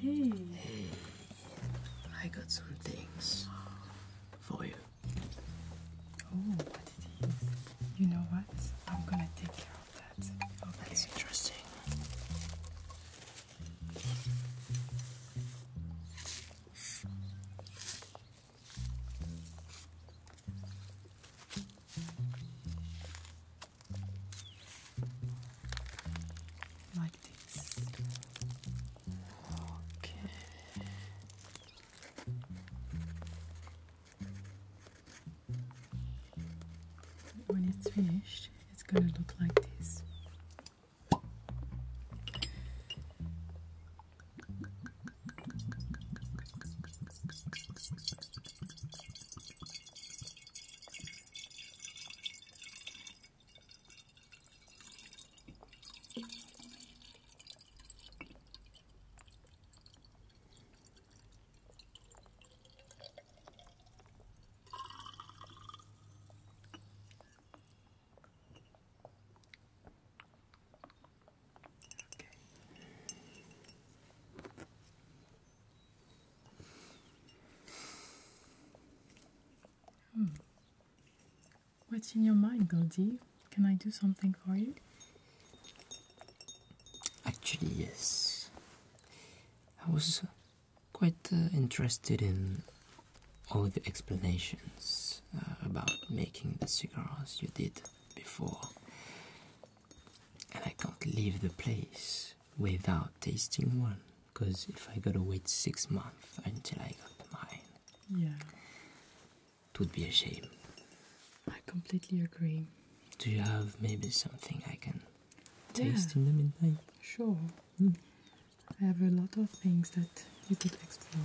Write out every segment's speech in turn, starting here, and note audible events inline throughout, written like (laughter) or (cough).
Hey. I got some things for you. Oh, what it is. You know what? I'm gonna take care Oh, that's interesting. Like this. Okay. When it's finished, it's gonna look like this. Hmm. What's in your mind, Goldie? Can I do something for you? Actually, yes. I was quite uh, interested in all the explanations uh, about making the cigars you did before, and I can't leave the place without tasting one. Because if I gotta wait six months until I got mine, yeah, it would be a shame. I completely agree. Do you have maybe something I can taste in the midnight? Sure. Hmm. I have a lot of things that you could explore.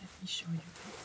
Let me show you this.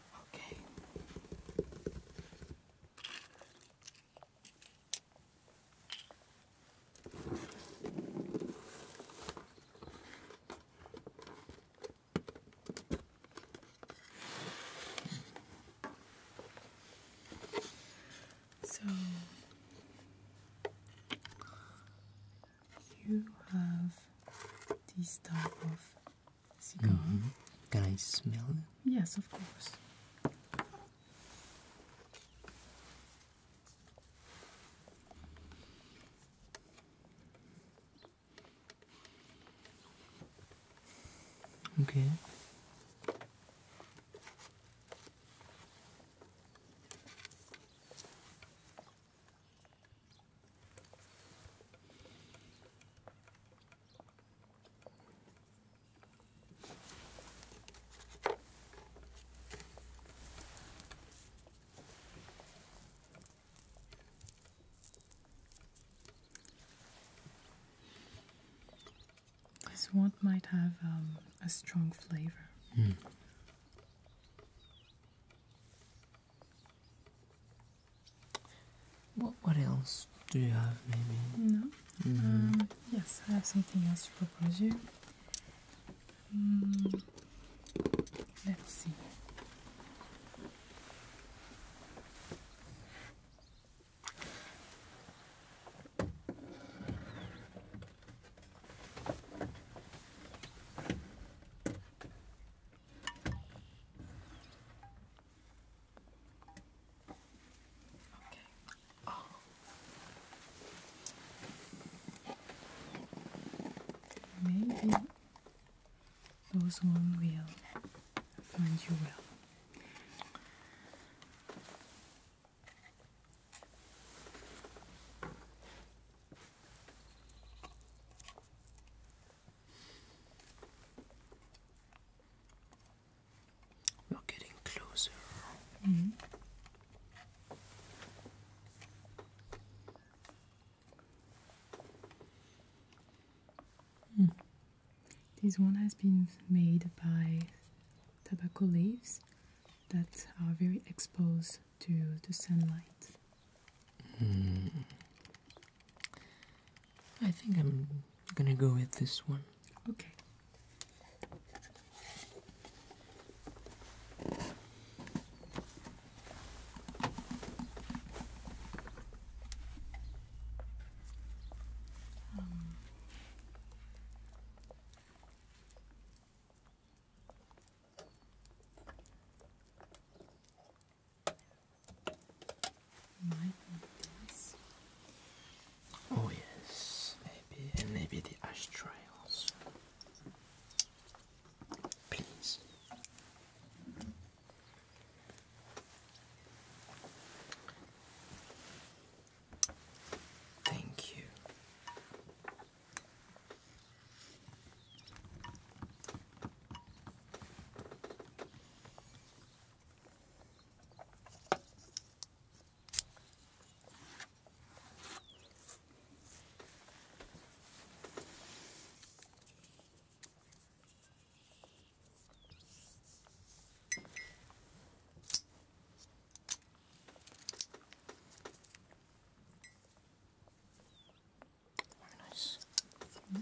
Okay. So you have this type of Mm-hmm. Can I smell it? Yes, of course. Okay. This one might have um, a strong flavor. Hmm. What, what else do you have, maybe? No. Mm-hmm. Um, yes, I have something else to propose you. Mm, let's see. Okay. Oh. Maybe those one will find you well. We're getting closer. Mm -hmm. This one has been made by tobacco leaves that are very exposed to the sunlight. Mm. I think I'm gonna go with this one. Okay. Oh yes, maybe and maybe the ashtray also. Please. Thank you. Very nice. Mm -hmm.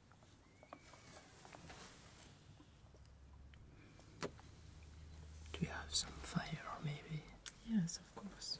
Do we have some fire, maybe? Yes, of course.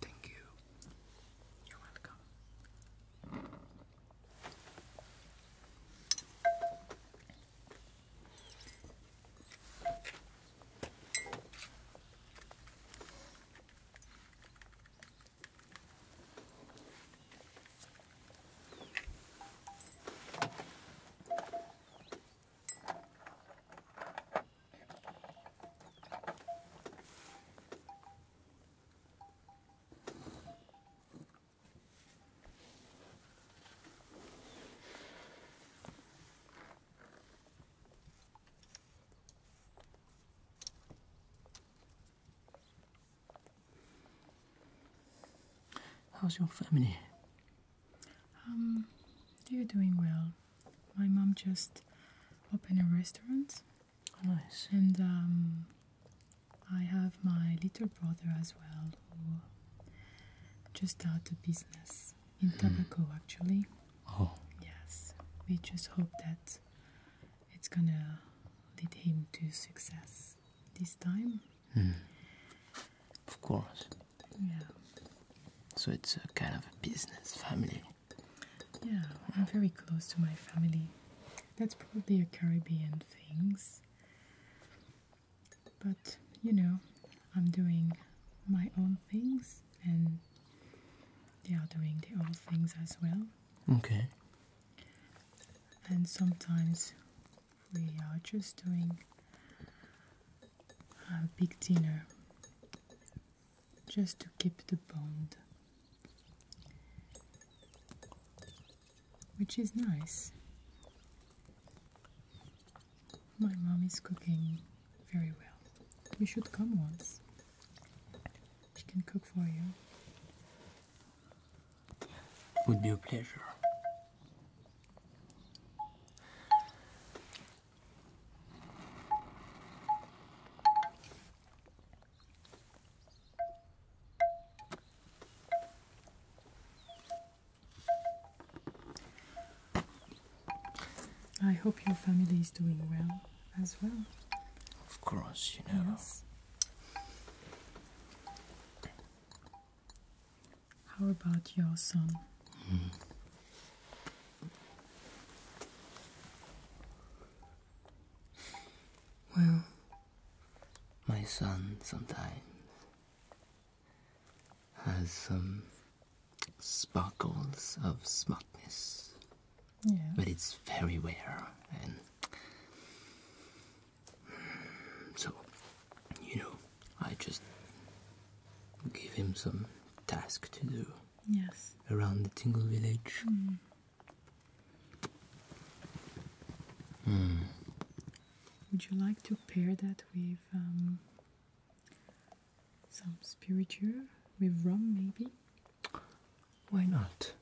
Thank you. You're welcome. How's your family? Um, you're doing well. My mom just opened a restaurant. Oh, nice. And um, I have my little brother as well, who just started a business in mm-hmm. tobacco, actually. Oh. Yes. We just hope that it's gonna lead him to success this time. Mm. Of course. Yeah. So it's a kind of a business family. Yeah, I'm very close to my family. That's probably a Caribbean things. But you know, I'm doing my own things and they are doing their own things as well. Okay. And sometimes we are just doing a big dinner just to keep the bond, which is nice. My mom is cooking very well. We should come once. She can cook for you. Would be a pleasure. I hope your family is doing well as well. Of course, you know. Yes. How about your son? Well, my son sometimes has some sparkles of smartness. But it's very rare and so you know, I just give him some task to do. Yes. Around the Tingle village. Hmm. Hmm. Would you like to pair that with um, some spiritueux, with rum maybe? Why not?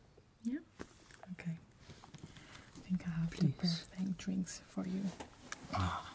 Yeah. Okay. I think I have the perfect drinks for you. Ah.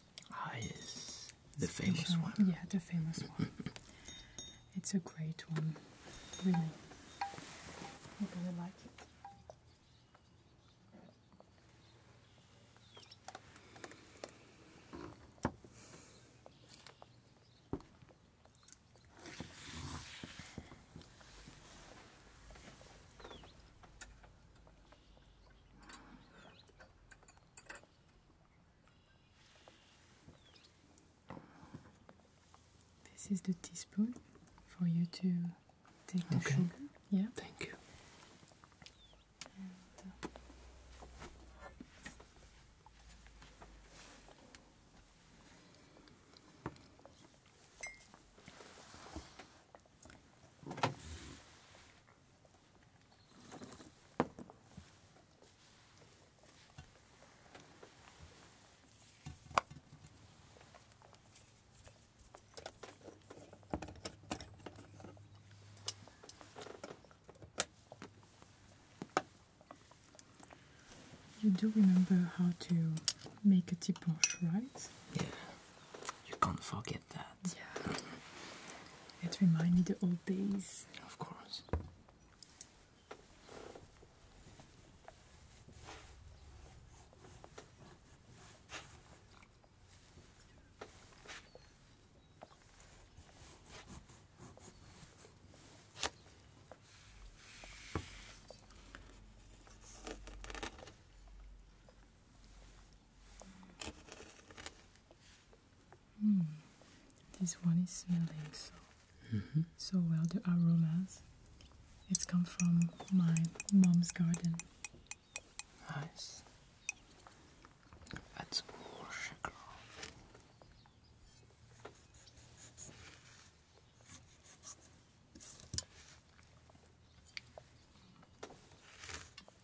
Ah, yes. The famous one. Yeah, the famous one. (laughs) it's a great one. Really. I really like it. This is the teaspoon for you to take the okay. sugar. Yeah. Thank you. Uh, you do remember how to make a tiponche, right? Yeah. You can't forget that. Yeah. It reminds me the old days. Of course. Hmm. This one is smelling so mm-hmm. so well. The aromas. It's come from my mom's garden. Nice. That's more sugar.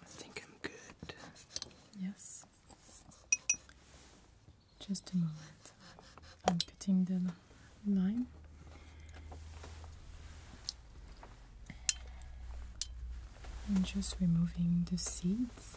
I think I'm good. Yes. Just a moment. I'm putting the lime. I'm just removing the seeds.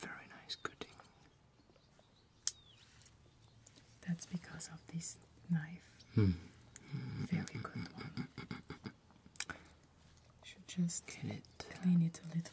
Very nice cutting. That's because of this knife. Hmm. Very good one. Should just Can it, clean it a little bit.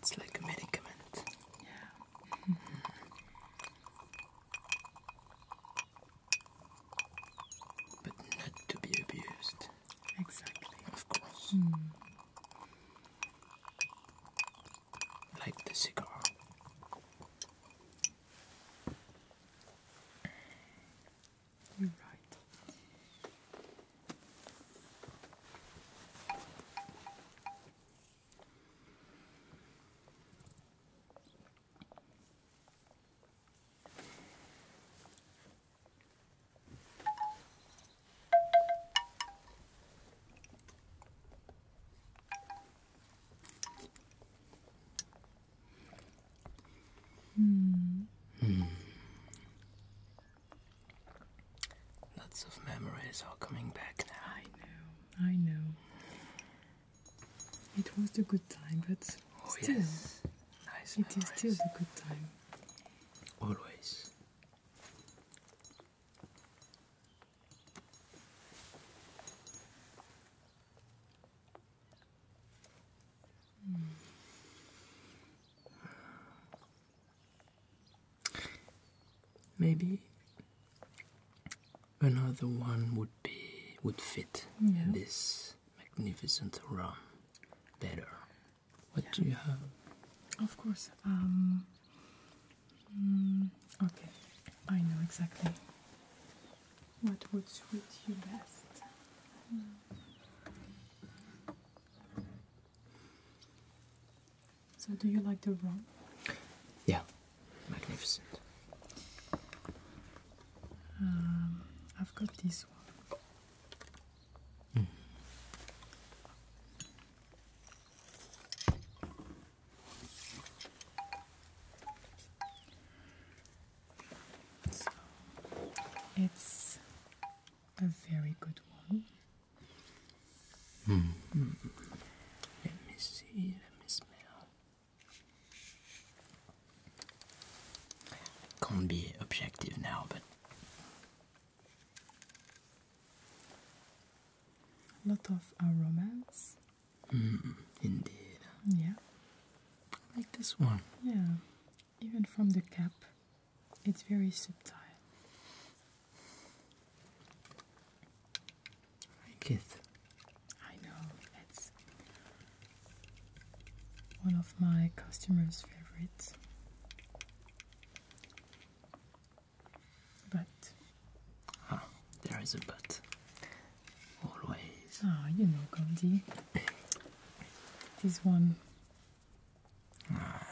It's like a medicament. Yeah. But not to be abused. Exactly. Of course. Mm. Like the cigar. You're right. Hmm. Hmm. Lots of memories are coming back now. I know, I know. It was a good time, but oh, still, yes. still the good time. Always. Hmm. Maybe another one would be would fit this magnificent rum better. What do you have? Of course. Um, hmm, okay, I know exactly what would suit you best. So, do you like the room? Yeah, magnificent. Um, I've got this one it's a very good one. Hmm. Hmm. Let me see, let me smell. Can't be objective now, but a lot of uh, romance. Mm, indeed. Yeah like this one. Yeah, even from the cap, it's very subtle. I like it. I know, it's one of my customers' favorites. But. Ah, there is a but. Always. Ah, you know, Goldie. This one. Ah.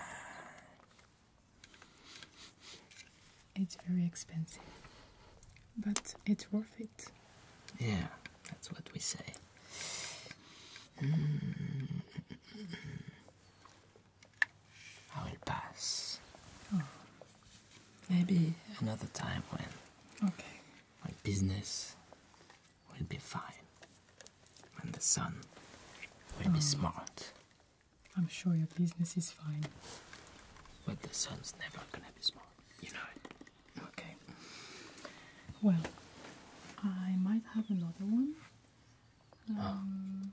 It's very expensive, but it's worth it. Yeah, that's what we say. Mm. I pass. Ah. Maybe another time when okay. my business we will be fine. And the sun will be mm. smart. I'm sure your business is fine. But the sun's never gonna be smart. You know Okay. Well, I might have another one. Ah. Um,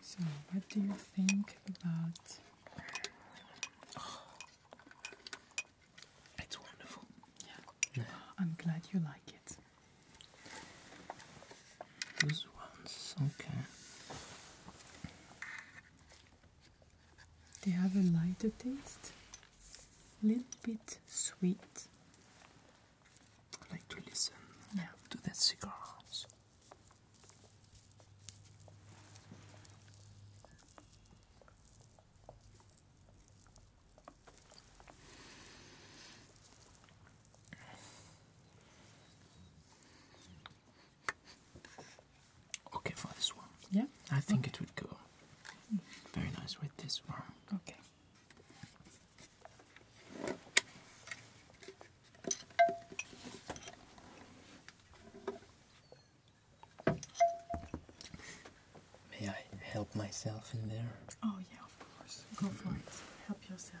So, what do you think about? Oh, it's wonderful. Yeah. I'm glad you like it. This one's okay. They have a lighter taste, a little bit sweet. like to listen yeah. to the cigars. Okay, for this one. Yeah. I think it would go very nice with this one. Okay. May I help myself in there? Oh, yeah, of course. Go for it. Help yourself.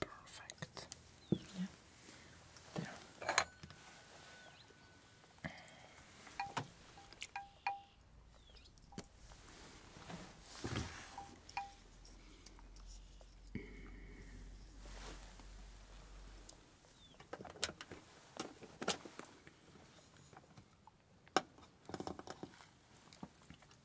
Perfect. Yeah. There.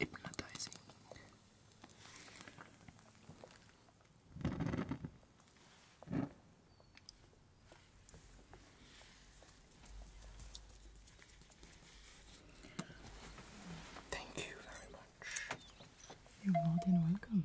It's hypnotizing. Thank you very much. You're more than welcome.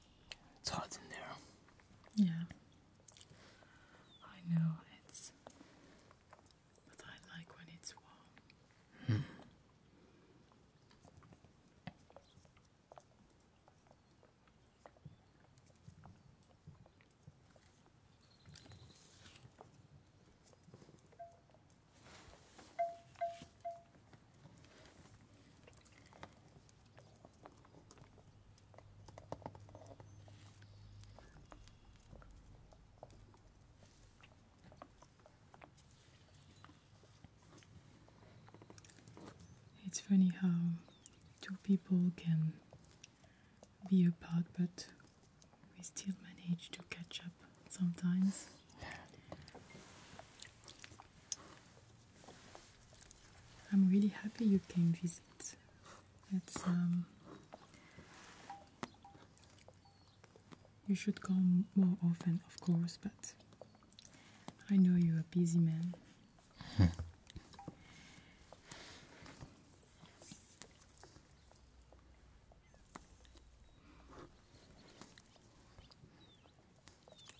It's hot in there. Yeah. I know it's but I like when it's warm. Hmm. It's funny how two people can be apart, but we still manage to catch up sometimes. I'm really happy you came visit. Um, you should come more often, of course, but I know you're a busy man.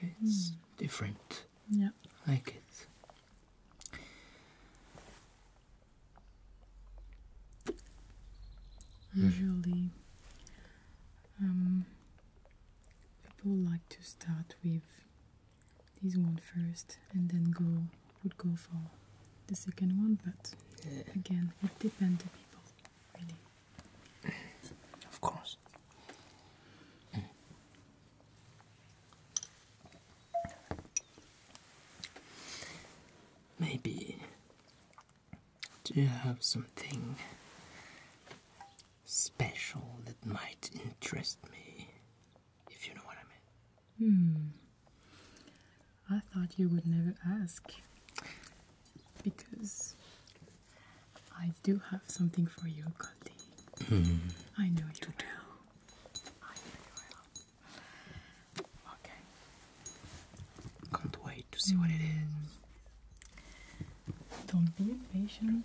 It's hmm. different. Yeah. I like it. Hmm. Usually, um, people like to start with this one first and then go would go for the second one, but again, it depends on people, really. Of course. Maybe. you have something special that might interest me? If you know what I mean. Hmm. I thought you would never ask. Because I do have something for you, Goldie. Hmm. I know you do. I Okay. Can't wait to see what it is. Don't be impatient.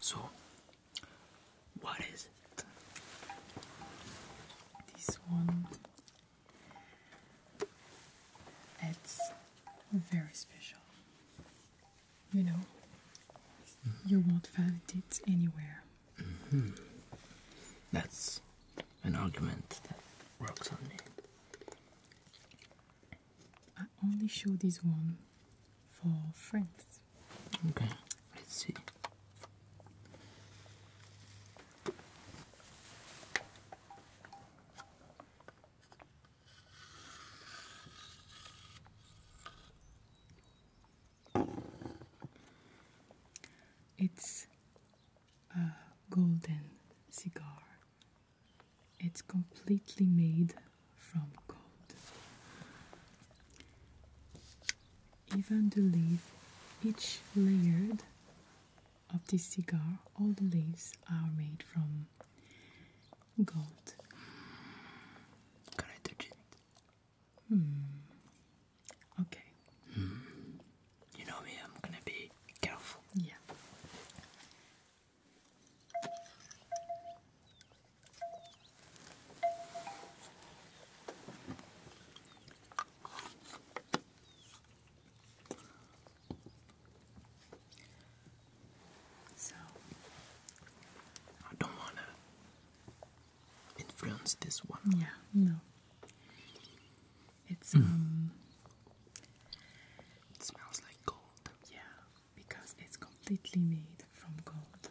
so, what is it? This one. It's very special. You know, you won't find it anywhere. Mm-hmm. That's an argument that works on me only show this one for friends. Okay, let's see. It's a golden cigar it's completely made from gold. Even the leaves, each layered of this cigar, all the leaves are made from gold. Can I touch it? Hmm. Okay. Hmm. You know me, I'm gonna be careful. Yeah. So, I don't want to influence this one. Yeah, no. It's, mm. um, smells like gold. Yeah because it's completely made from gold.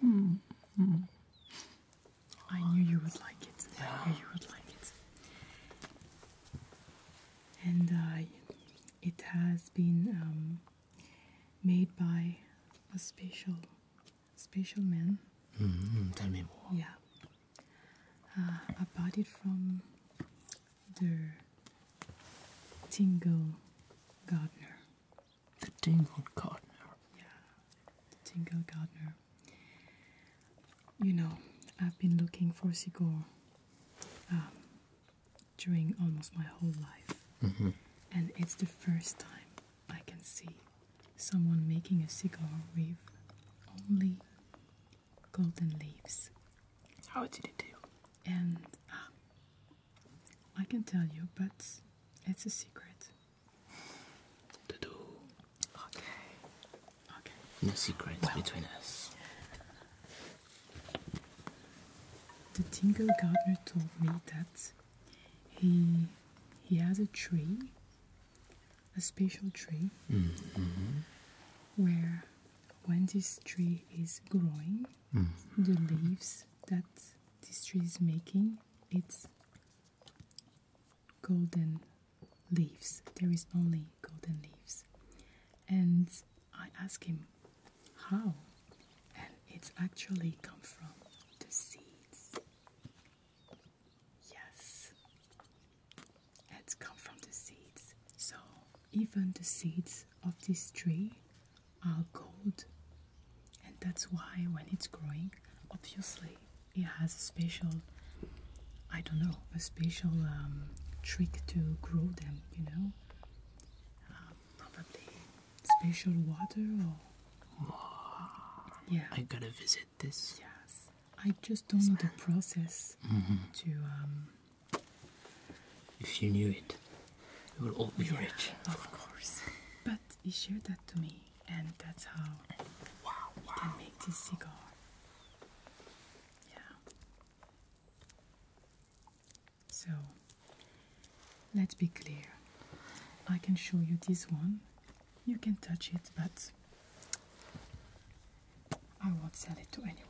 Hmm, hmm. I knew you would like it. Yeah. you would like it. And uh, it has been um, made by a special, special man. -hmm. Tell me more. Yeah. Uh, I bought it from the Tingle Gardener. The Tingle Gardener. Yeah, the Tingle Gardener. You know, I've been looking for Sigor um, during almost my whole life. Mm-hmm. And it's the first time I can see someone making a cigar with only golden leaves. How did it do? And um, I can tell you, but it's a secret. To do. Okay. Okay. No secrets between us. The tingle gardener told me that he he has a tree, a special tree, mm, mm-hmm. where when this tree is growing, the leaves that this tree is making, it's golden leaves. There is only golden leaves. And I ask him how, and it's actually come from the seeds. Yes, it's come from the seeds. So even the seeds of this tree are gold, and that's why when it's growing, obviously it has a special, I don't know, a special um, trick to grow them, you know, uh, probably special water or. yeah, I gotta visit this. Yes, I just don't know the process mm-hmm. to um, if you knew it, you will all be rich. Of course. But he shared that to me, and that's how we can make this cigar. Yeah. So, let's be clear. I can show you this one. You can touch it, but I won't sell it to anyone.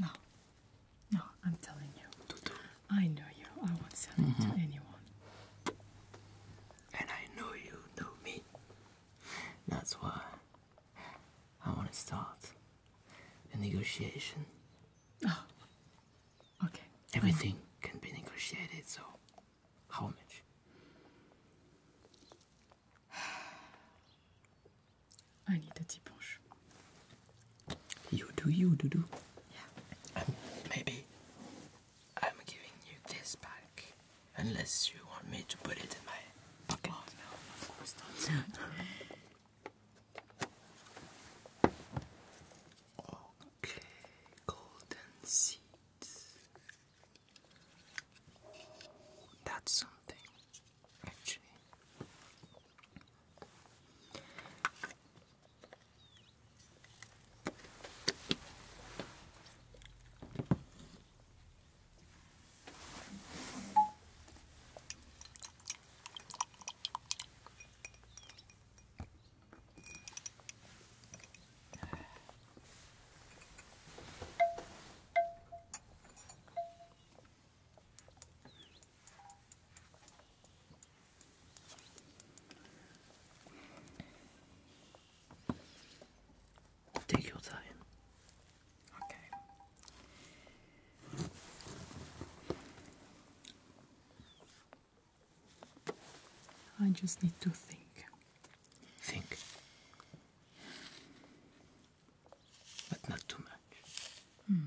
No. No, I'm telling you. I know you. I won't sell it to mm-hmm. anyone. And I know you know me. That's why I want to start a negotiation. Oh. Okay. Everything can be negotiated, so how much? I need a deep You do, you do, do. Yeah. Um, maybe I'm giving you this back, unless you want me to put it in my pocket. Oh, no, of course not. (laughs) Okay, golden seeds. That's something, actually. Take your time. Okay. I just need to think. Think but not too much. Hmm.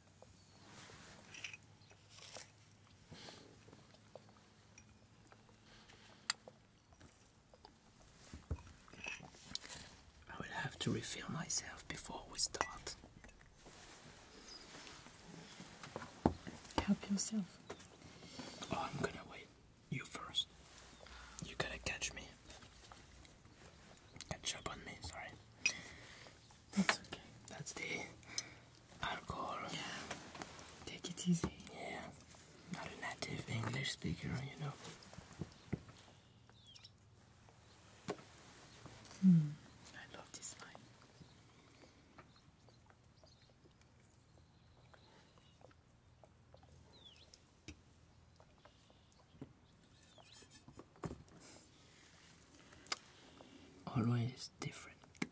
I will have to refill myself before we start. Help yourself. Oh, I'm gonna wait. You first. You gotta catch me. Catch up on me, sorry. That's okay. That's the alcohol. Yeah. Take it easy. Yeah. Not a native English speaker, you know. Hmm. I love this line. Always different.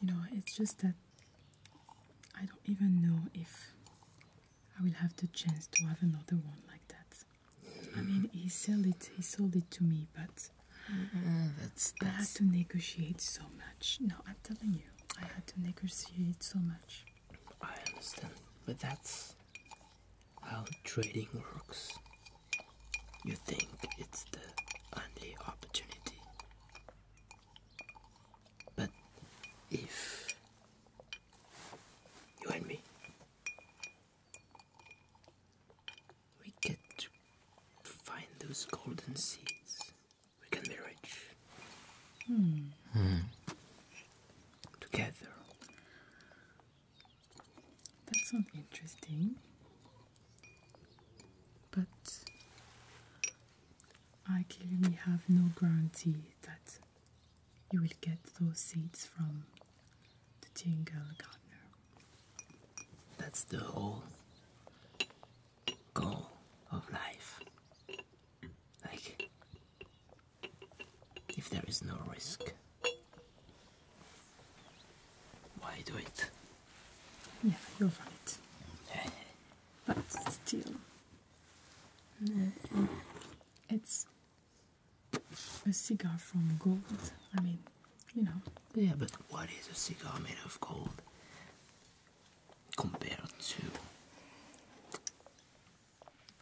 You know, it's just that I don't even know if I will have the chance to have another one like that. I mean, he sold it, he sold it to me, but that's, mm-hmm. that's... I had to negotiate so much. No, I'm telling you, I had to negotiate so much. I understand, but that's how trading works. You think it's the only opportunity. But if you and me we get to find those golden seeds, we can be rich. Hmm. Together. That sounds interesting. But I clearly have no guarantee that you will get those seeds from the Tingle Gardener. That's the whole goal of life. Like, if there is no risk, why do it? Yeah, you're right. (laughs) but still, uh, it's a cigar from gold. I mean, you know. Yeah, but what is a cigar made of gold? compared to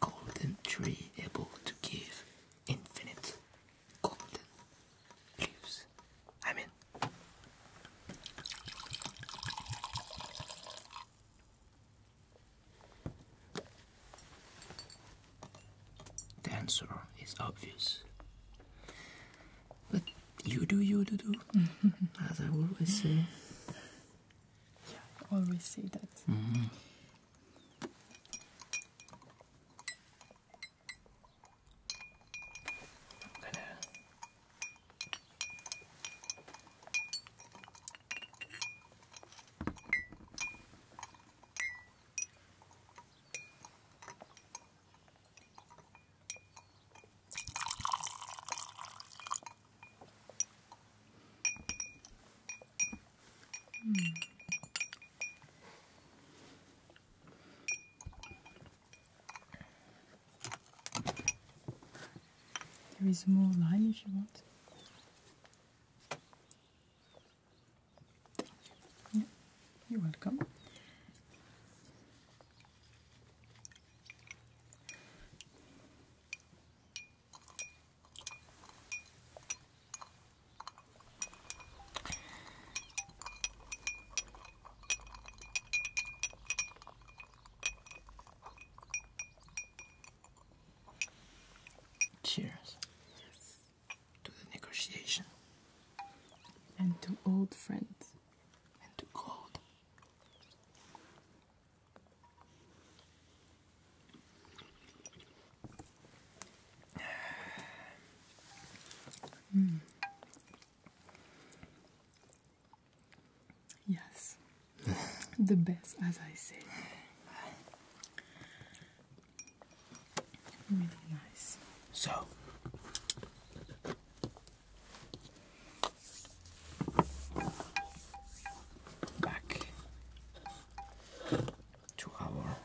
golden tree able to give infinite golden leaves. I mean the answer is obvious. You do, you do, do. Mm-hmm. As I always say. Yeah, I always say that. Mm-hmm. There is more lime if you want. Yeah, you're welcome. Cheers to the negotiation and to old friends and to gold. Mm. Yes, (laughs) the best, as I said. Really nice. So, back to our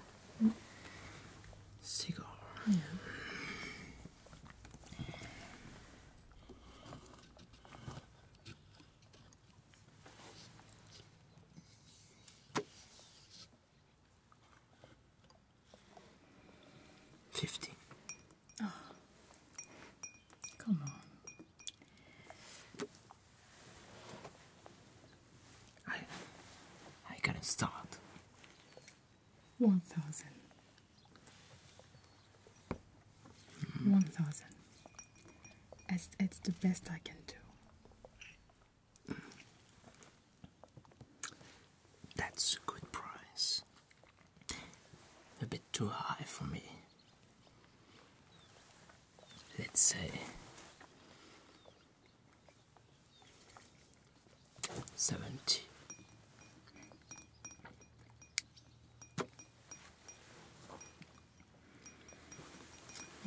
cigar. Fifty. Oh. come on. I, I can start. One thousand. Hmm. One thousand. It's, it's the best I can do. Hmm. That's a good price. A bit too high for me. Let's say seventy.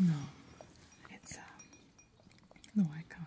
No, it's uh, no, I can't.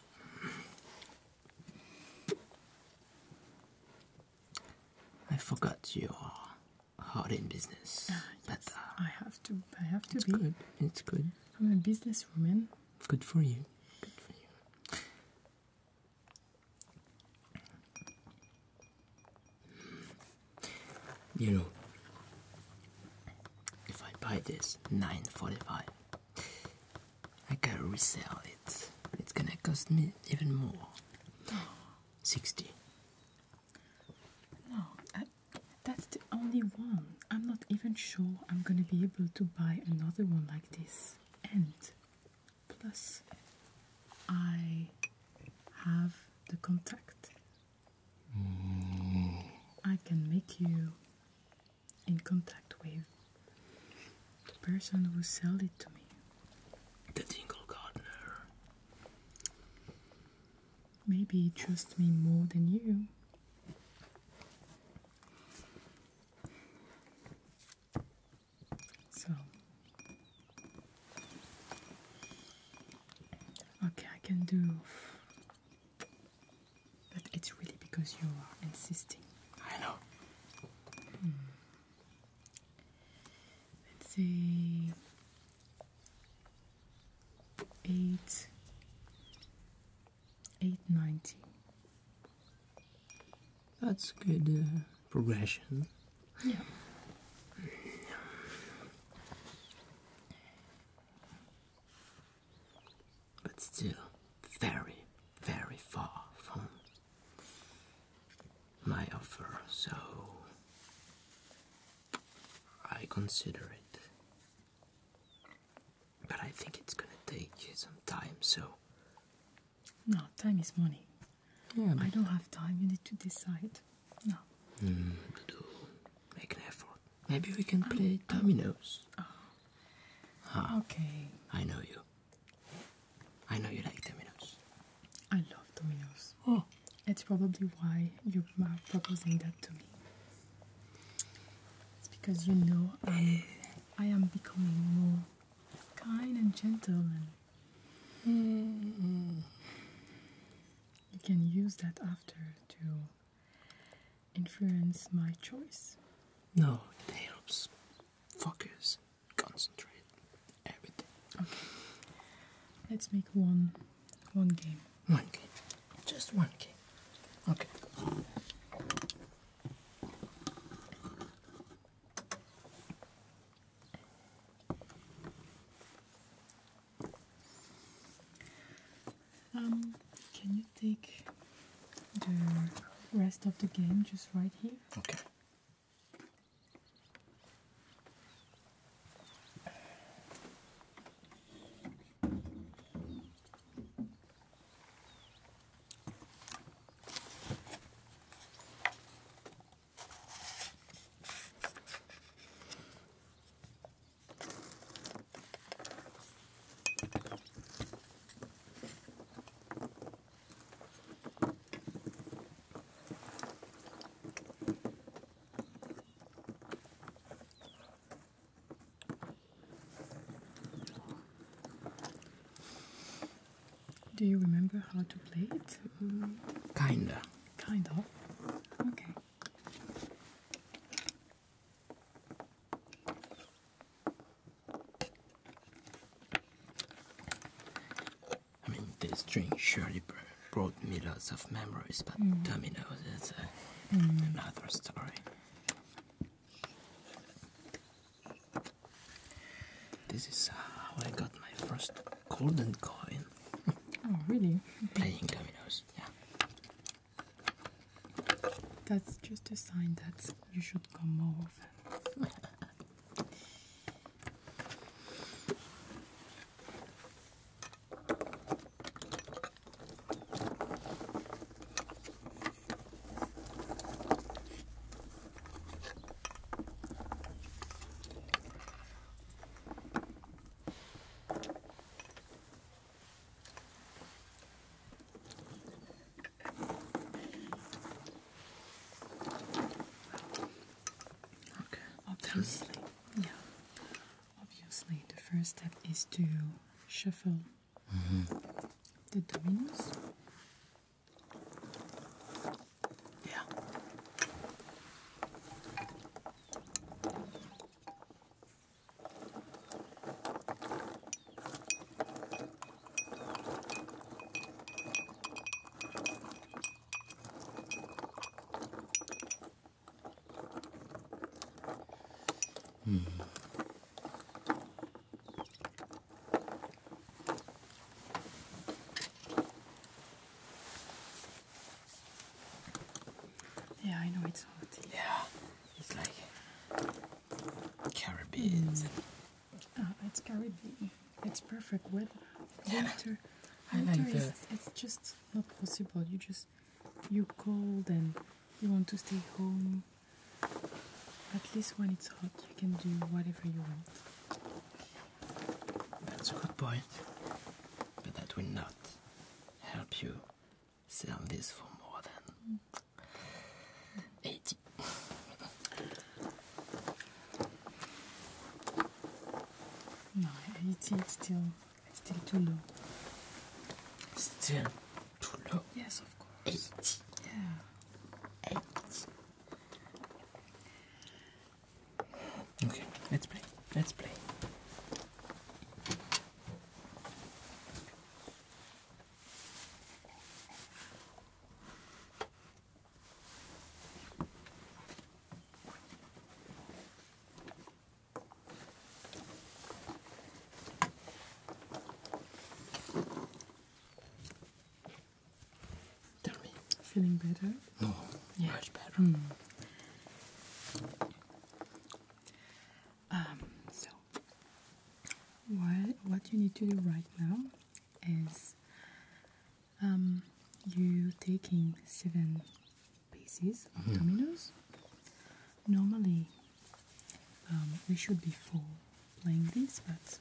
I forgot your hard in business. Ah, yes. But uh, I have to. I have to it's Good. It's good. I'm a business woman. Good for you. Good for you. You know, if I buy this nine forty-five, I can resell it, it's gonna cost me even more. 60. No, that's the only one. I'm not even sure I'm gonna be able to buy another one like this. And plus, I have the contact. Mm. I can make you in contact with the person who sold it to me, the Dingle Gardener. Maybe he trusts me more than you. So, okay, I can do but it's really because you are insisting. I know. Hmm. Let's say eight eight ninety. That's good uh, progression. Yeah but still very, very far from my offer, so I consider it. But I think it's gonna take you some time, so. No, time is money. Yeah, I don't have time. You need to decide. No. to mm, make an effort. Maybe we can play dominoes. Oh. okay. I know you. I know you like dominoes. I love dominoes. Oh. It's probably why you are proposing that to me. It's because you know I'm, I am becoming more kind and gentle, and mm-hmm. you can use that after to influence my choice? No, it helps focus, concentrate, everything. Okay. Let's make one one game. One game. Just one game. Okay. Um, can you take the rest of the game just right here? Okay. Do you remember how to play it? kinda. Kind of. Okay. I mean, this drink surely brought me lots of memories, but mm. Domino's is uh, mm. another story. This is uh, how I got my first golden coin. Oh, really? (laughs) Playing dominoes, yeah. That's just a sign that you should come more often. Okay. Obviously, yeah. Obviously, the first step is to shuffle mm-hmm. the dominoes. Yeah. Yeah, I know it's hot. Yeah, it's like Caribbeans. Mm. Oh, it's Caribbean. It's perfect weather. Winter. Winter it's just not possible. You just you're cold and you want to stay home. At least when it's hot, you can do whatever you want. That's a good point, but that will not help you sell this for more than 80. No, 80 it's still, it's still too low. Still too low? Yes, of course. 80? Yeah. 80. Okay, let's play. Let's play. Tell me. Feeling better? No, much better. Hmm. Um, so, what you need to do right now is um, you taking seven pieces of mm dominoes. Normally, um, we should be four playing this, but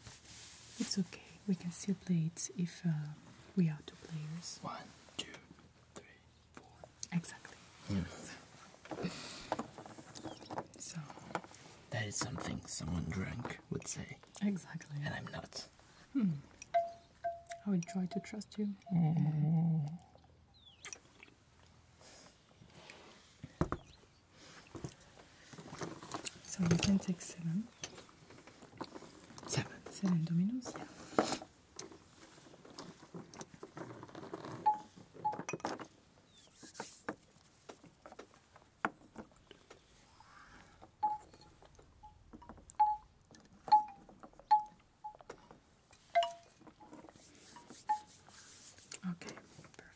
it's okay. We can still play it if uh, we are two players. One, two, three, four. Exactly. So that is something someone drank would say. Exactly. And I'm not. Hmm. I would try to trust you. So you can take seven. Seven. Seven dominoes. Yeah. Okay,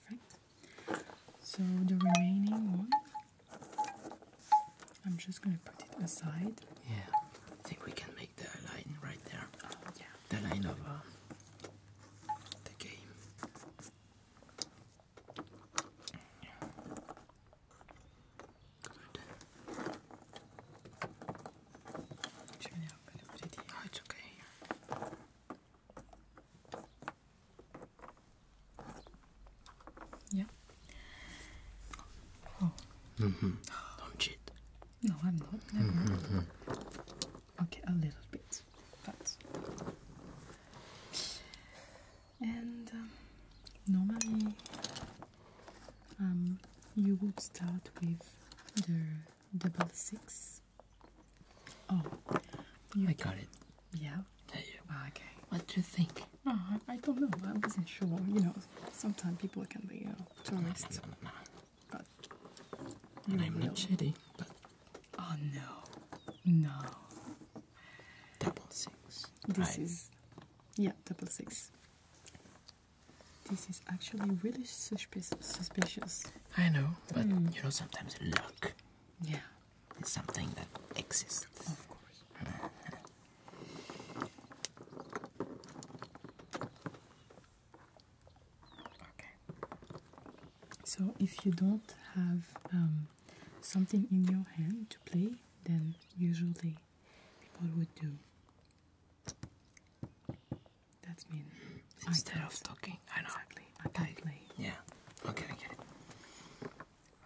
perfect. So the remaining one, I'm just gonna put it aside. Yeah, I think we can make the line right there. yeah. The line of uh, the game. Good. Actually, I'm really pretty. Oh, it's okay. Yeah. Oh. -hmm. (gasps) Don't cheat. No, I'm not. Never. -hmm. Okay, a little bit, but and um, normally um, you would start with the double six. Oh, I got it. Yeah. Ah, okay. What do you think? Oh, I, don't know. I wasn't sure. You know, sometimes people can be tourists. No, no, but I'm not shitty, but oh no, no. Double six. This is yeah, double six. This is actually really suspicious. Suspicious. I know, but hmm. you know sometimes luck. Yeah. It's something that exists. Of course. (laughs) (laughs) Okay. So if you don't have um, something in your hand to play, then usually people would do. That's mean. Instead of talking, I know. Exactly. Yeah. Okay, I get it.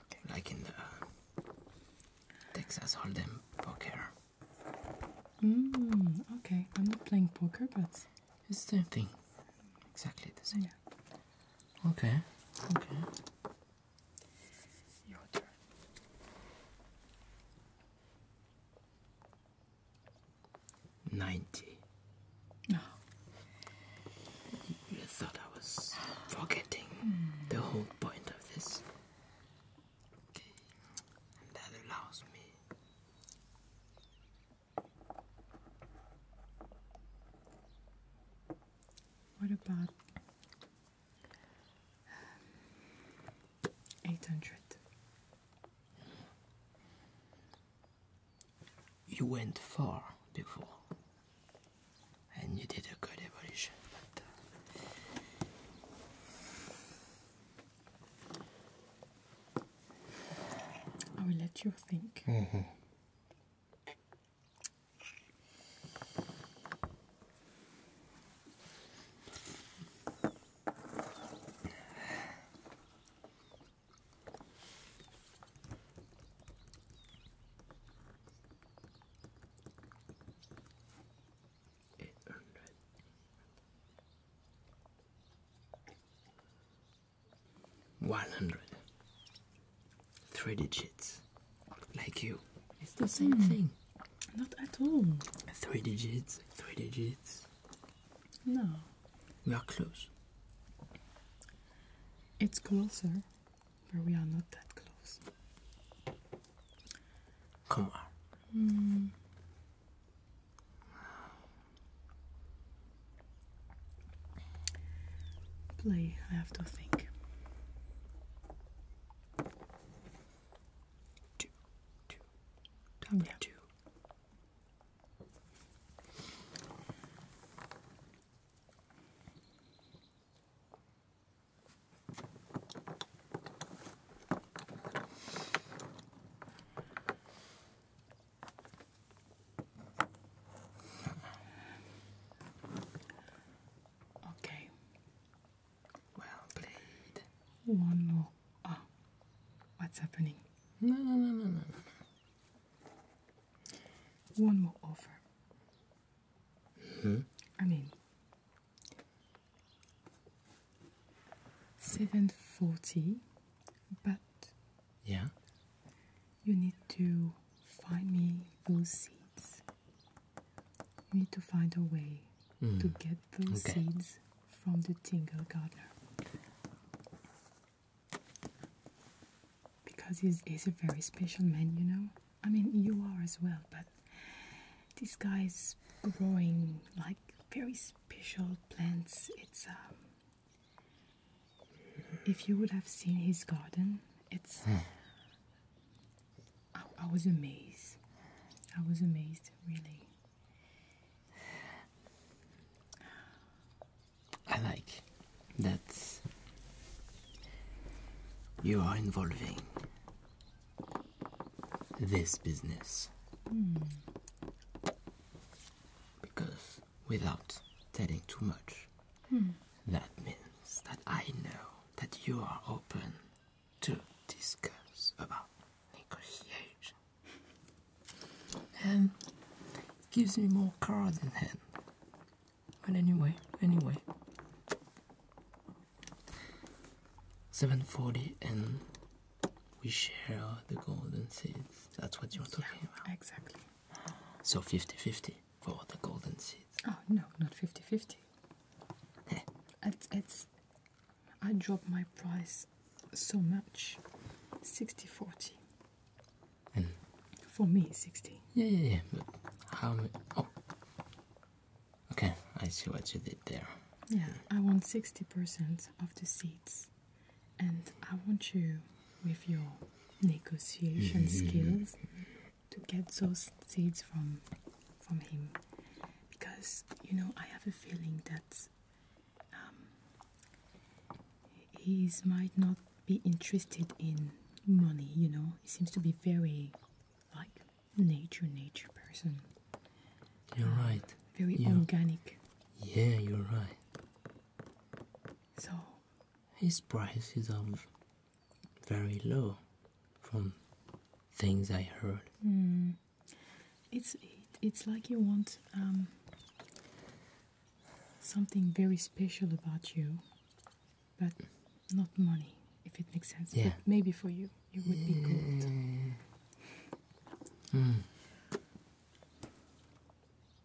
Okay. Like in the uh, Texas Hold'em poker. Mm, okay, I'm not playing poker, but it's the same thing. Exactly the same. Okay. Okay. Your turn. Ninety. No. You thought I was forgetting the whole point of this. Okay. that allows me what about um, eight hundred? You went far before, and you did a good evolution, but uh, I will let you think. Mm -hmm. One hundred, three digits. Like you. It's the same hmm. thing. Not at all. Three digits, three digits. No. We are close. It's closer, but we are not that close. Come on. Hmm. Play, I have to think. Two, two, time two. Okay. Well played. One more. oh, what's happening? One more offer. Hmm? I mean, seven forty, but yeah. You need to find me those seeds. You need to find a way to mm. get those seeds from the tingle gardener. Because he's, he's a very special man, you know? I mean, you are as well, but this guy is growing like very special plants. It's um, if you would have seen his garden, it's. Hmm. I, was amazed. I was amazed, really. I like that you are involving this business. Hmm. Because without telling too much. Hmm. That means that I know that you are open to discuss about negotiation. And (laughs) um, gives me more cards in hand. But anyway, anyway. 740 and we share the golden seeds. That's what you're talking yeah, about. Exactly. So 50 50 for the golden seeds. Oh, no, not 50 50. it's, I drop my price so much 60 40. And for me, 60. Yeah, yeah, yeah. how Oh. Okay, I see what you did there. Yeah, I want 60% of the seeds and I want you with your negotiation mm-hmm. skills to get those seeds from from him because you know I have a feeling that um, he might not be interested in money you know he seems to be very like nature nature person you're um, right very organic yeah you're right so his prices are um, very low from things I heard. Hmm. It's it's like you want um, something very special about you, but not money, if it makes sense. Yeah. maybe for you, you would be good. Hmm.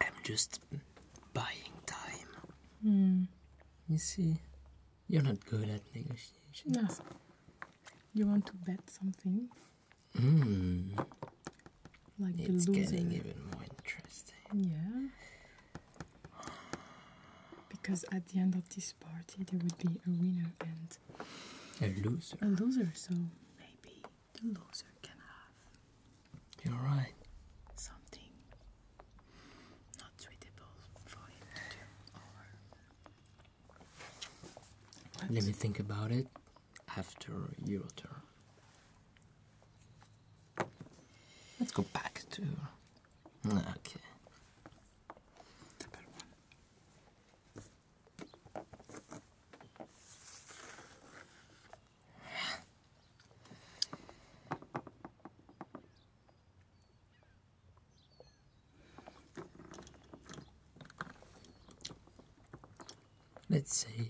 I'm just buying time. Hmm. You see, you're not good at negotiations. No. You want to bet something? Hmm. it's getting even more interesting. Yeah. Because at the end of this party, there would be a winner and a loser. A loser, so maybe the loser can have you're right. Something not suitable for him to do. Let me think about it after your turn. Let's go back to. Okay. Let's say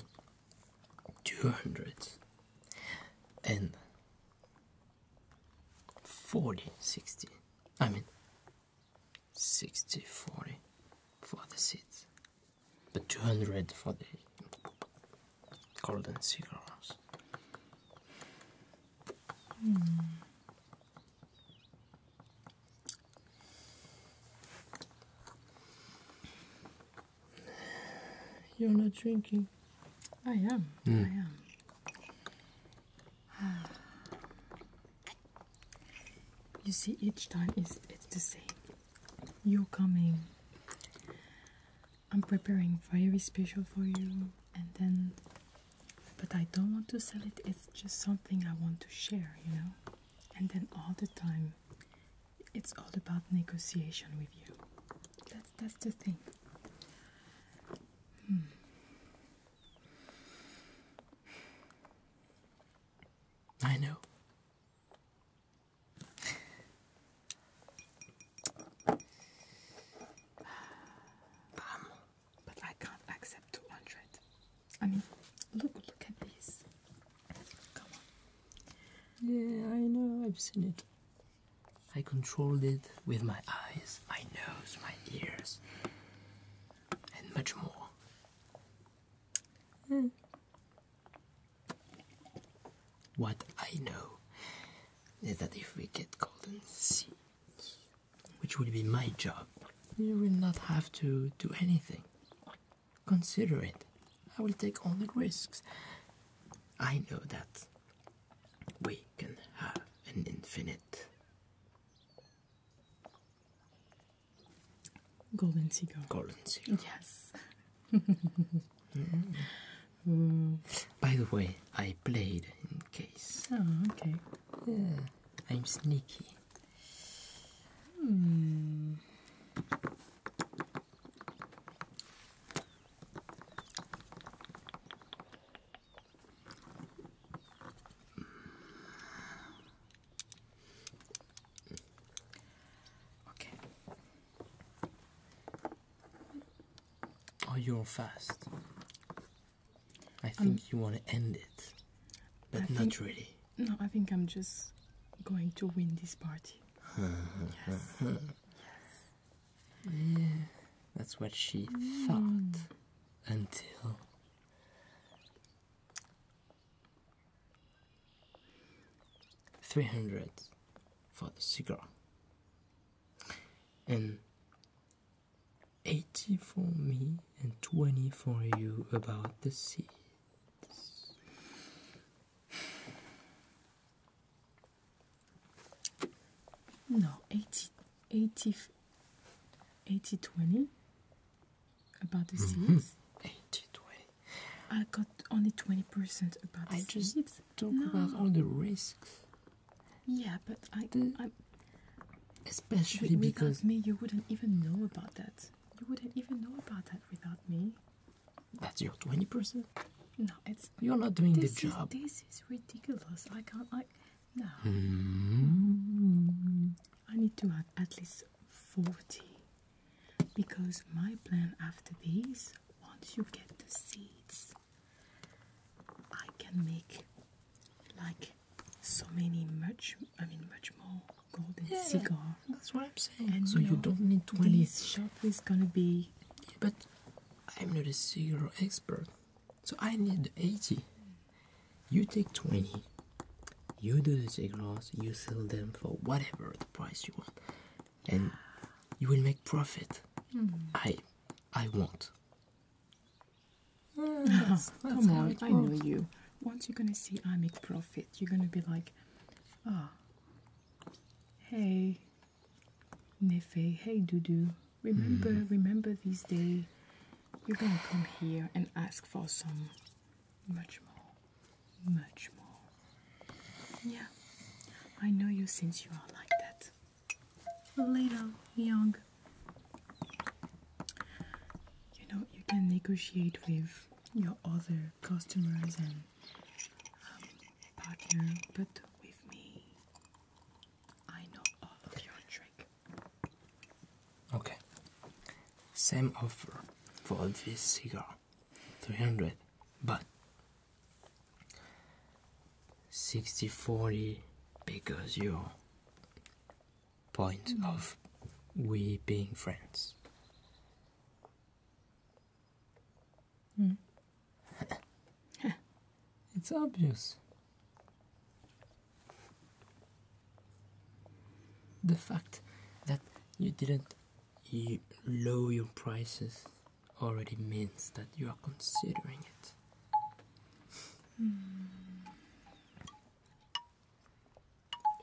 two hundred and forty sixty. I mean sixty forty for the seeds but 200 for the golden cigars. Hmm. You're not drinking. I am. Hmm. I am. (sighs) You see, each time it's, it's the same. You're coming I'm preparing very special for you, and then, but I don't want to sell it, it's just something I want to share, you know. And then, all the time, it's all about negotiation with you. That's, that's the thing. Hmm. I know. Um, but I can't accept 200. I mean, look, look at this. Come on. Yeah, I know, I've seen it. I controlled it with my eyes, my nose, my ears, and much more. Mm. What I know is that if we get golden seeds, which will be my job, you will not have to do anything. Consider it. I will take all the risks. I know that we can have an infinite golden seeds. Golden seagull. Yes. (laughs) By the way, I played in case. Oh, okay. Yeah, I'm sneaky. Hmm. Okay. Oh, you're fast. I think you want to end it, but not really. No, I think I'm just going to win this party. yes. (laughs) yes. that's what she thought mm. until. 300 for the cigar and 80 for me and 20 for you about the seeds no 80 80 80 20 about the mm seeds 80 20 I got only 20% about I just talk about all the risks. Yeah, but I. especially w- because. me, you wouldn't even know about that. You wouldn't even know about that without me. That's your 20%? No, it's. You're not doing the job. this is ridiculous. I can't, I No. Hmm. I need to have at least 40 because my plan after these, once you get the seeds, I can make like so many much, I mean, much more golden yeah, cigar. That's what I'm saying. And so you, don't need 20. This shop is gonna be. but I'm not a cigar expert, so I need 80. You take 20. You do the cigars, you sell them for whatever the price you want and you will make profit. Hmm. I, I won't. Ah, (laughs) come on, I know you. Once you're gonna see I make profit, you're gonna be like, ah, hey, Nefe, hey, Dudu, remember, hmm. remember this day. You're gonna come here and ask for some much more, much more. Yeah, I know you since you are like that. Little, young. You know, you can negotiate with your other customers and um, partner, but with me, I know all of your trick. Okay. Same offer for this cigar. 300 but 60 40 because your point of we being friends hmm. (laughs) it's obvious the fact that you didn't you lower your prices already means that you are considering it. Mm.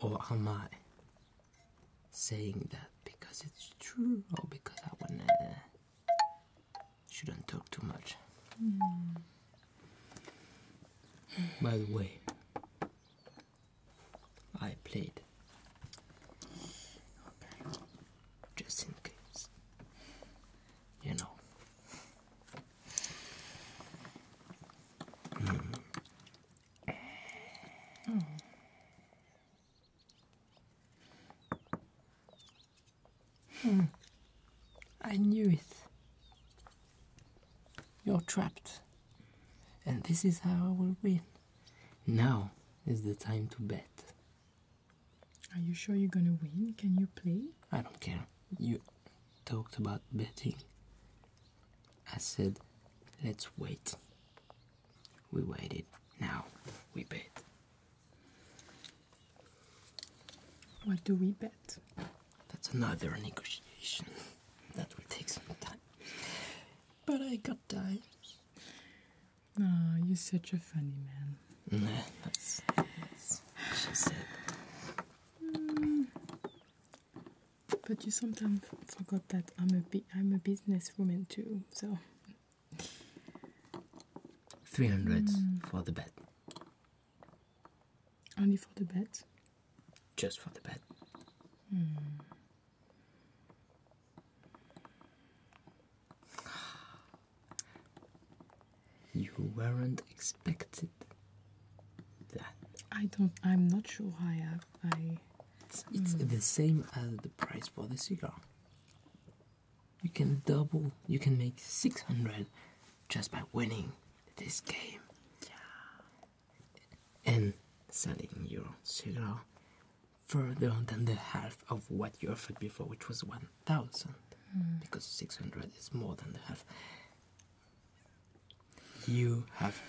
Or am I saying that because it's true or because I wanna shouldn't talk too much? Hmm. By the way, I played just in case, you know. Hmm. I knew it. You're trapped. And this is how I will win. Now is the time to bet. Are you sure you're gonna win? Can you play? I don't care. You talked about betting. I said, let's wait. We waited. Now we bet. What do we bet? That's another negotiation. That will take some time. But I got time. Ah, you're such a funny man. Mm. But you sometimes forgot that I'm a am a businesswoman too. So three hundred mm. for the bed. Only for the bed. Just for the bed. Mm. You weren't expected that. I don't. I'm not sure I have. I. It's, hmm. the same as the price for the cigar. You can double. You can make six hundred just by winning this game. And selling your cigar further than the half of what you offered before, which was 1,000, hmm. because 600 is more than the half. You have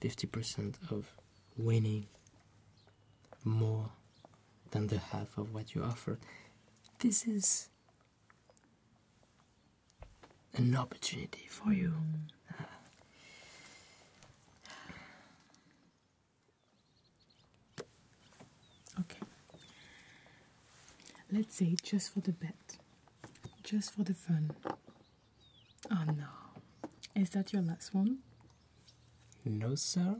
50% of winning more than the half of what you offered. This is an opportunity for you. Hmm. Ah. Okay. Let's say just for the bet, just for the fun. Oh no. Is that your last one? No, sir.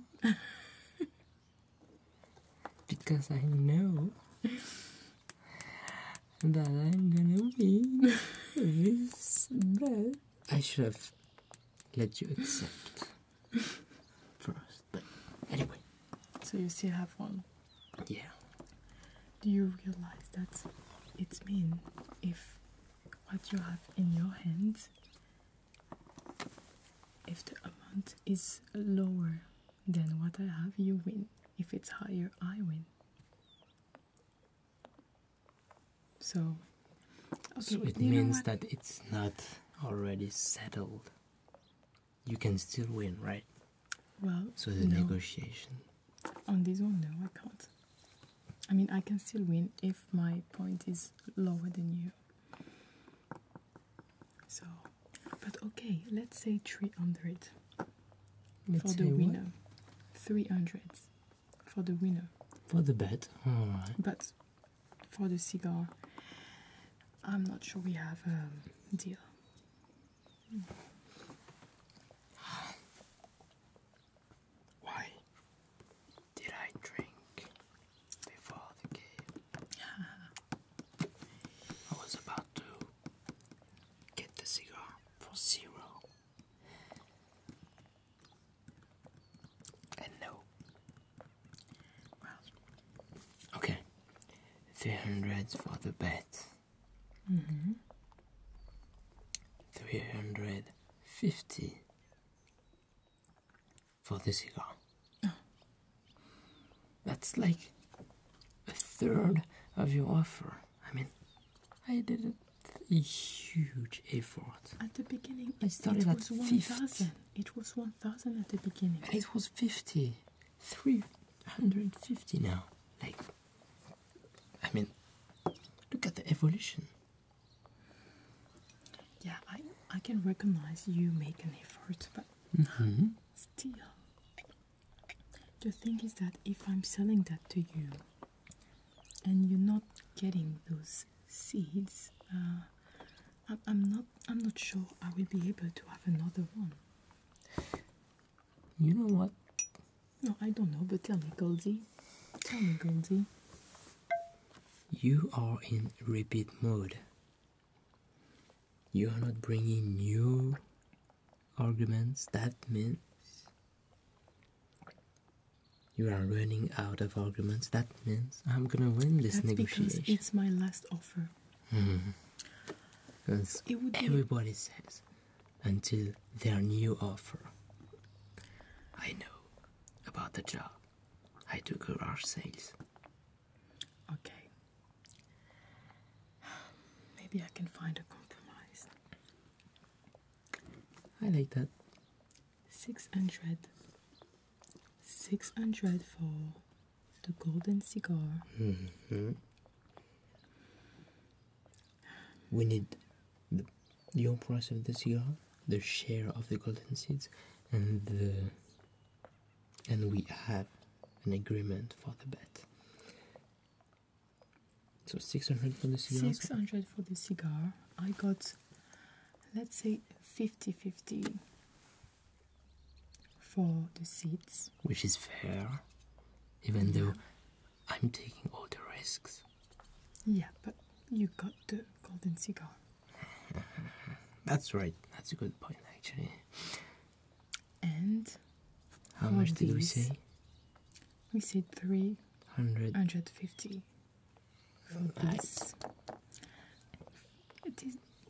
(laughs) because I know that I'm gonna win (laughs) this bet. I should have let you accept (laughs) first. But anyway. So you still have one? Yeah. Do you realize that it means if what you have in your hands, if the amount is lower than what I have, you win. If it's higher, I win. So, so it means that it's not already settled. You can still win, right? Well, so the negotiation on this one, no, I can't. I mean, I can still win if my point is lower than you. So, but okay, let's say 300 for the winner. 300 for the winner. For the bet? Alright. But for the cigar. I'm not sure we have a deal. (sighs) Why did I drink before the game? (laughs) I was about to get the cigar for zero no. Okay. Three hundred for the bet. Mm-hmm. Three hundred fifty for this cigar. Oh. That's like a third of your offer. I mean, I did a, huge effort. At the beginning, it, started was at 1,000. It was 1,000 at the beginning. it was 50. 350 now. Like, I mean, look at the evolution. Yeah, I, I can recognize you make an effort, but mm-hmm. still. The thing is that if I'm selling that to you and you're not getting those seeds. Uh, I, I'm not. I'm not sure I will be able to have another one. You know what? No, I don't know. But tell me, Goldie. Tell me, Goldie. You are in repeat mode. You are not bringing new arguments. That means you are running out of arguments. That means I'm gonna win this That's Because it's my last offer. Mm-hmm. Because everybody says until their new offer. I know about the job. I do garage sales. Okay. (sighs) Maybe I can find a compromise. I like that. 600 600 for the golden cigar mm-hmm. we need the, your price of the cigar the share of the golden seeds and the and we have an agreement for the bet so 600 for the cigar 600 for the cigar i got let's say 50 50 for the seats, which is fair, even though I'm taking all the risks. Yeah, but you got the golden cigar. (laughs) that's right, that's a good point, actually. And how much did we say? We said three hundred. 350. This,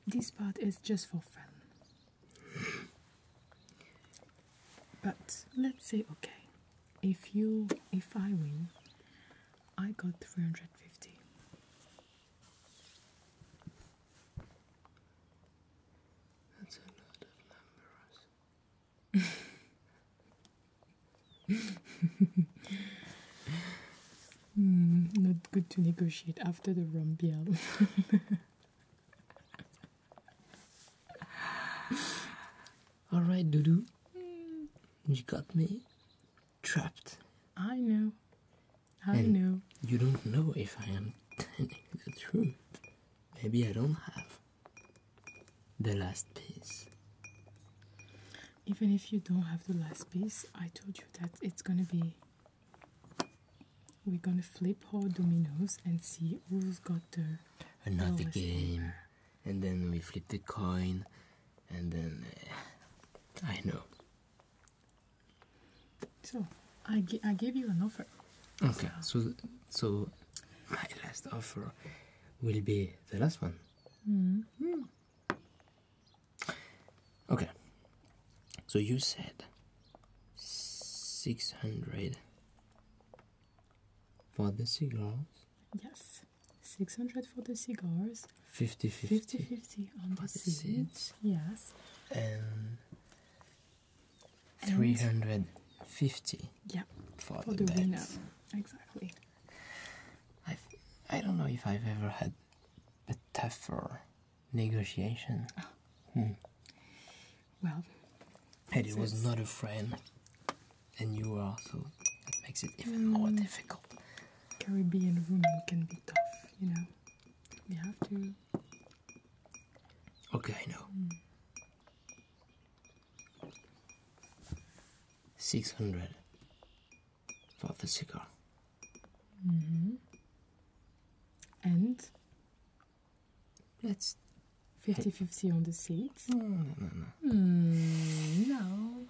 this part is just for fun. But let's say okay, if you if I win, I got 350. That's a lot of numbers. (laughs) Hmm, not good to negotiate after the rumbiel. (laughs) All right, Doodoo. Mm. You got me trapped. I know. I know. You don't know if I am telling the truth. Maybe I don't have the last piece even if you don't have the last piece i told you that it's gonna be we're gonna flip all dominoes and see who's got the another game and then we flip the coin and then eh, i know so i, I gave you an offer okay so so, my last offer will be the last one mm. Okay. So you said 600 for the cigars? Yes. 600 for the cigars. 50 50. 50, on the, seeds. Yes. And, 350. Yeah. For, for the, the Exactly. I've, I i do not know if I've ever had a tougher negotiation. Ah. Hmm. Well, Eddie was not a friend, and you are, so that makes it even more mm. difficult. Caribbean women can be tough, you know. We have to. Okay, I know. Hmm. 600. For the cigar. And let's 50 50 on the seats. No, no, no, no. Hmm,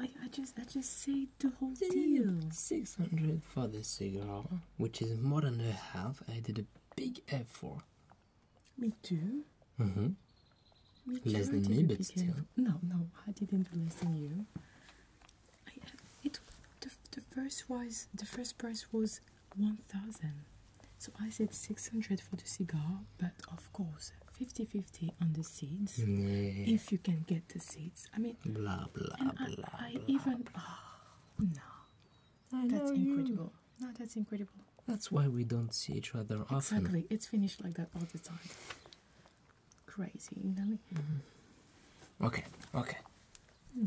I, I just I just say the whole deal. 600 for the cigar, which is more than a half. I did a big effort. Me too. Mm -hmm. We Less than me, but No, no, I didn't less than you. Uh, it the, the first was the first price was one thousand, so I said six hundred for the cigar, but of course 50-50 on the seeds. If you can get the seeds, I mean. Blah blah blah. I even ah, no, that's incredible. No, that's incredible. That's why we don't see each other often. Exactly, it's finished like that all the time. Crazy, Nelly. Mm-hmm. Okay, okay. Hmm.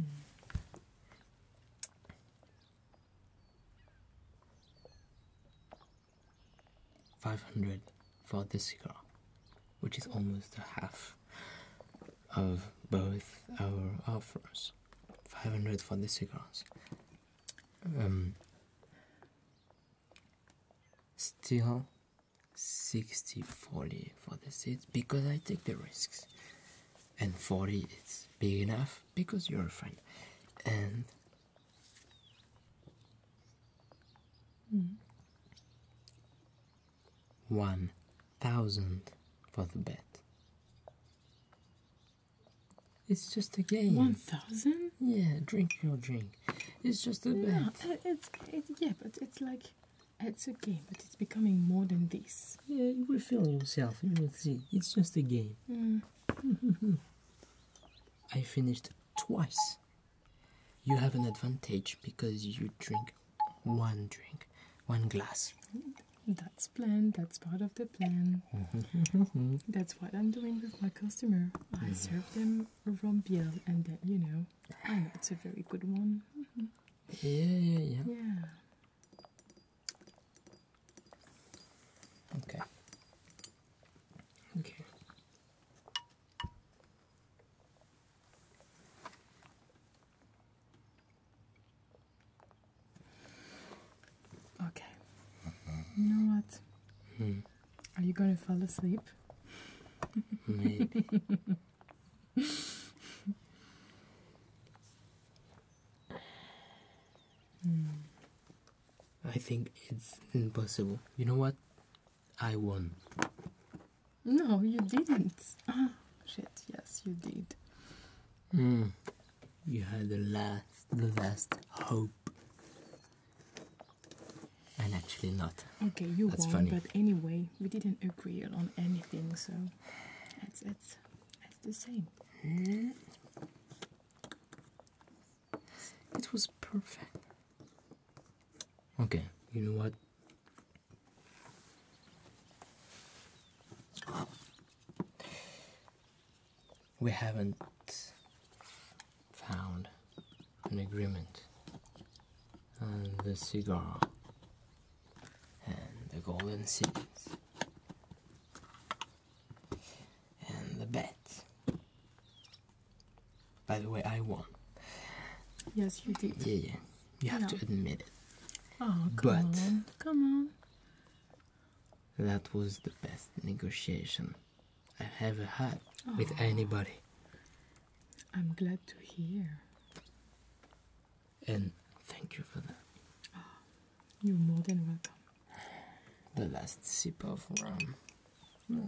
Five hundred for this cigar, which is almost half of both our offers. Five hundred for the cigars. Um, still 60 for the seats because I take the risks. And 40 it's big enough because you're a friend. And 1000 for the bet. It's just a game. 1000? Yeah, drink your drink. It's just a yeah, uh, It's, yeah, but it's like it's a game, but it's becoming more than this. Yeah, you will feel yourself. You see. It's just a game. Mm. (laughs) I finished twice. You have an advantage because you drink one drink, one glass. That's planned. That's part of the plan. Mm-hmm. (laughs) that's what I'm doing with my customer. I mm-hmm. serve them from and that you know, I it's a very good one. Mm-hmm. Yeah, yeah, yeah. Yeah. Okay. Okay. Okay. You know what? Hmm. Are you going to fall asleep? Maybe. I think it's impossible. You know what? I won. No, you didn't. Ah, shit, yes, you did. Hmm. You had the last, the last hope. And actually not. Okay, you That's won, funny. but anyway, we didn't agree on anything, so it's it's it's the same. It was perfect. Okay, you know what? We haven't found an agreement on the cigar and the golden cities and the bet. By the way, I won. Yes, you did. Yeah, yeah. You have to admit it. Oh, come but on. Come on. That was the best negotiation I have a oh. with anybody. I'm glad to hear. And thank you for that. Oh, you're more than welcome. The last sip of rum.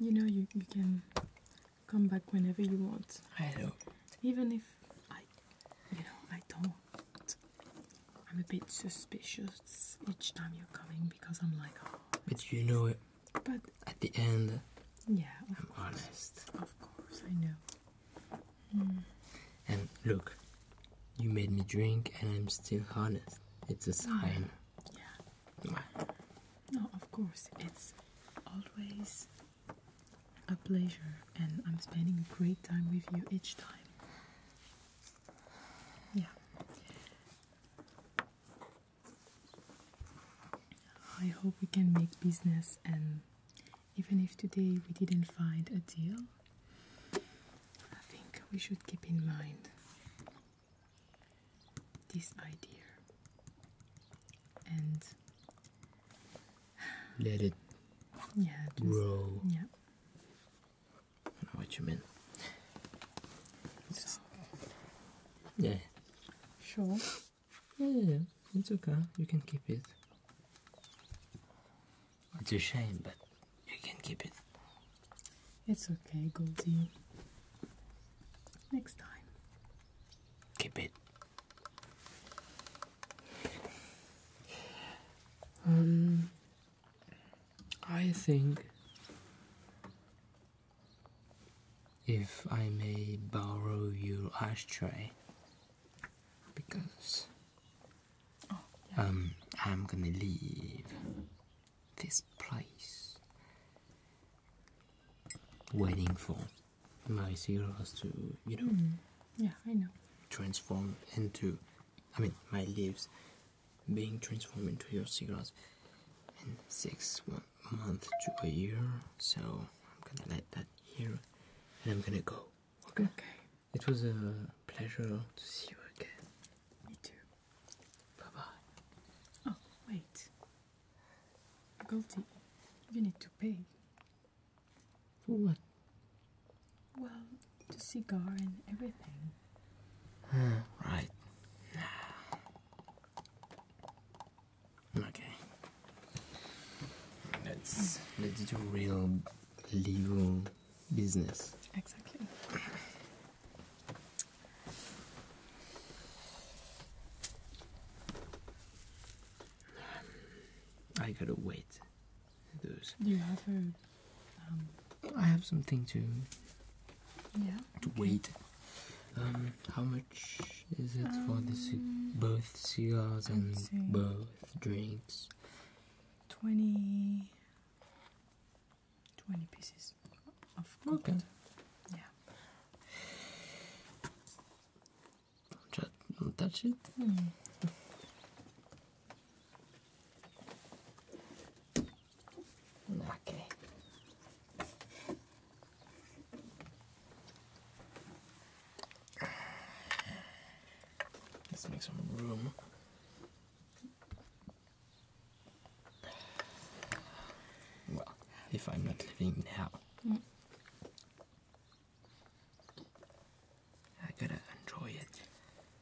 You know, you, you can come back whenever you want. I know. Even if I, you know, I don't. I'm a bit suspicious each time you're coming because I'm like, oh, but you know it. But at the end, yeah, I'm honest. Of course, I know. Hmm. And look, you made me drink, and I'm still honest. It's a sign. yeah. No, of course, it's always a pleasure, and I'm spending a great time with you each time. Yeah. I hope we can make business, and even if today we didn't find a deal, I think we should keep in mind this idea and let it grow. I know what you mean. yeah. Sure. Yeah, yeah, yeah, it's okay. You can keep it. It's a shame, but you can keep it. It's okay, Goldie. Next time. Keep it. Um, I think, if I may borrow your ashtray, because oh, um, I'm gonna leave this place waiting for my zeros to, you mm-hmm. know. Transform into, I mean, my leaves being transformed into your cigarettes in six one month to a year. So I'm gonna let that here, and I'm gonna go. Okay. Okay. It was a pleasure to see you again. Me too. Bye bye. Oh wait, Goldie, you need to pay. For what? Well, the cigar and everything. (sighs) Right. Okay. Let's let's do real legal business. Exactly. I gotta wait. Those. You have a um, I have something to yeah to wait. Um, how much is it for the um, both cigars and both drinks? 20, 20 pieces of gold. Okay. Yeah. don't touch it. Hmm. Okay. Let's make some room. Well, if I'm not living now. I gotta enjoy it.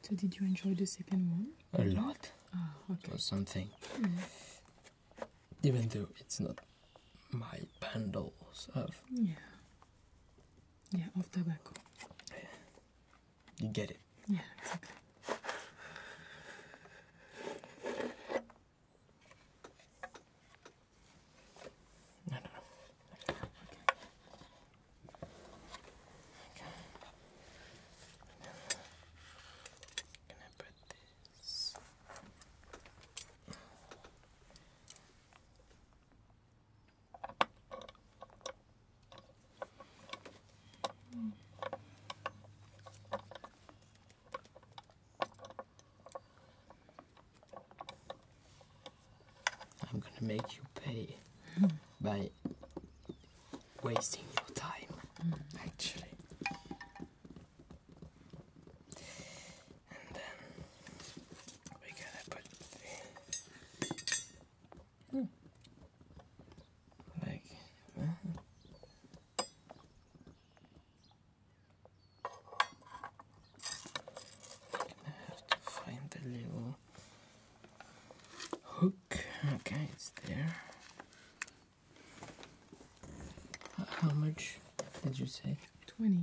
So did you enjoy the second one? a lot ah, or something. Mm. Even though it's not my bundles of yeah, yeah, of tobacco. You get it. Yeah, Okay. And I put this I'm gonna make you pay by wasting your time, actually. And then we're to put the mm. like that. Uh-huh. I have to find the little hook. Okay, it's there. How much did you say? 20.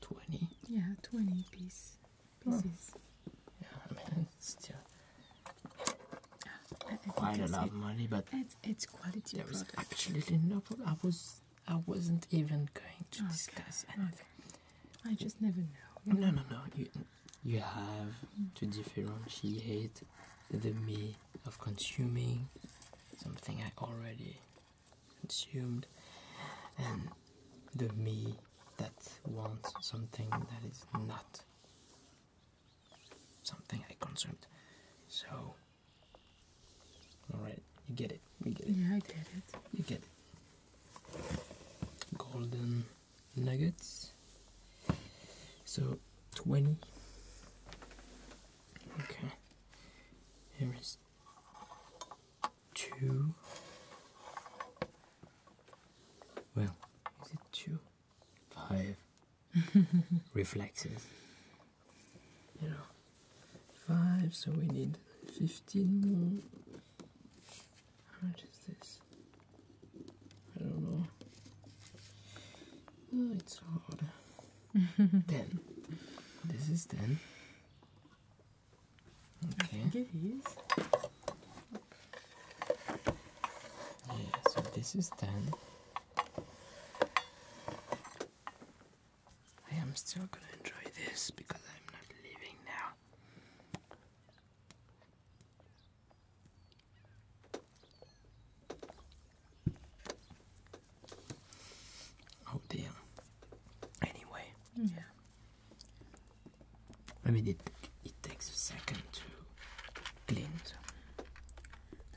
20? Yeah, 20 piece, pieces. Yeah, I mean, it's still quite a lot of money, but it's, it's quality there was absolutely no I, was, I wasn't even going to discuss anything. I just never know. No, no, no. You, you have to differentiate the me of consuming something I already consumed and the me that wants something that is not something I consumed. So, alright, you get it. You get it. Yeah, I get it. You get it. Golden nuggets. So 20. Okay. Here is two. Well, is it two? Five (laughs) reflexes. You know, five, so we need 15 more. How much is this? I don't know. Oh, it's hard. (laughs) 10. This is 10. Okay. Yeah, so this is 10. I am still gonna enjoy this because I'm not leaving now. Oh dear. Anyway. Yeah. I mean, it it takes a second to glint.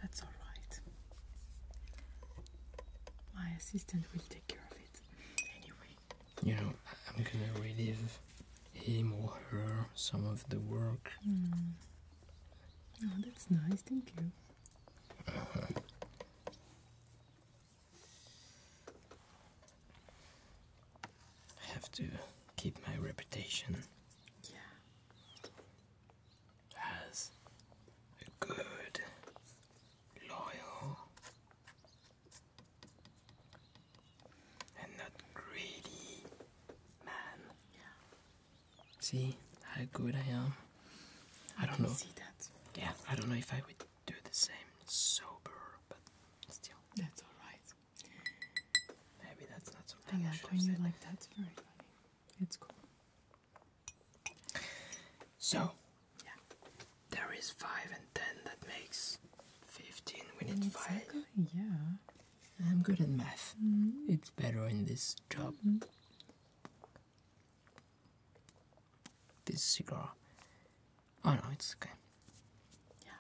That's all right. My assistant will take care of it. Anyway. You know, I'm gonna relive him or her some of the work. Hmm. Oh, that's nice, thank you. Uh-huh. I have to keep my reputation. As a good, loyal, and not greedy, man. Yeah. See how good I am. I, don't know. See that. Yeah, I don't know if I would do the same sober, but still. That's all right. Maybe that's not so I, I like when you like that. It's very funny. It's cool. So, yeah. there is 5 and 10 that makes 15. We need exactly, 5. Yeah. I'm good at math. It's better in this job. Mm. This cigar. Oh no, it's okay. Yeah.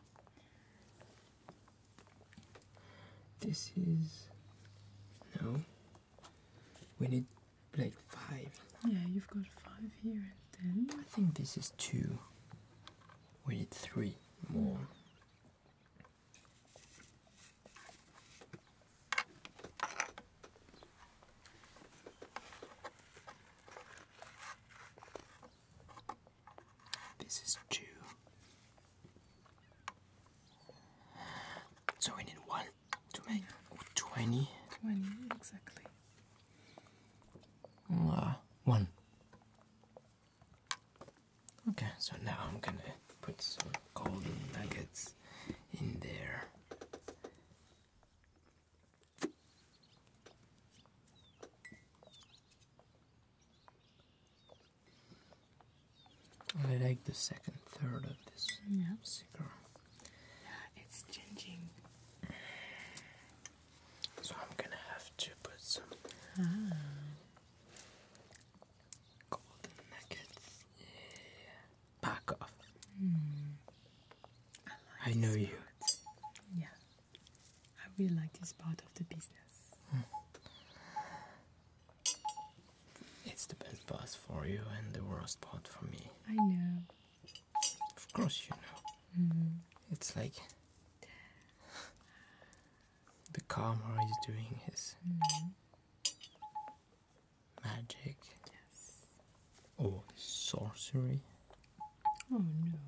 This is no. We need like five. Yeah, you've got five here and ten. I think this is two. We need three more. This is two. So we need one to make twenty. Twenty exactly. Uh, one. Okay, so now I'm gonna put some golden nuggets in there. I like the second third of this yeah. It's changing. So I'm gonna have to put some ah. Back off. Hmm. I, know you. Yeah. I really like this part of the business. Hmm. It's the best part for you and the worst part for me. I know. Of course you know. Mm-hmm. It's like (sighs) (laughs) the camera is doing his mm magic yes. or sorcery. Oh no.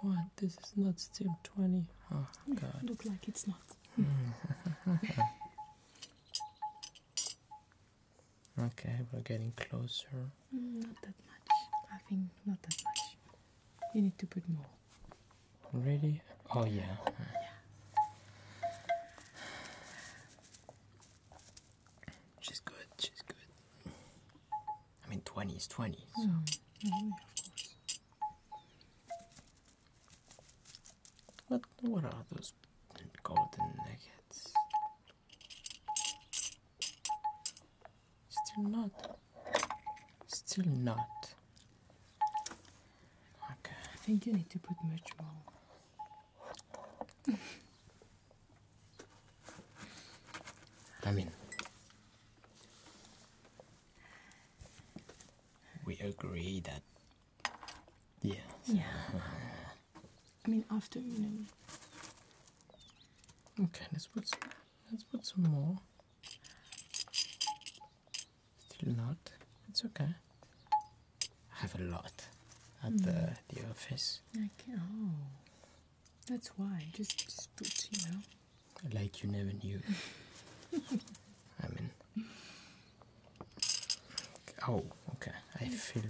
What? This is not still 20. Oh, God. It look like it's not. (laughs) okay, we're getting closer. Mm, not that much. I think not that much. You need to put more. Ready? Oh yeah. She's good. She's good. I mean, twenty is twenty. What? What are those golden nuggets? Still not. Still not. Okay, I think you need to put much more. I mean, we agree that. Yeah. Yeah. I mean, after you know. Okay, let's put Let's put some more. Still not. It's okay. I have a lot at the, hmm. the office. I can Oh, that's why. Just, just put, you know. Like you never knew. (laughs) I mean. Oh, okay. I feel.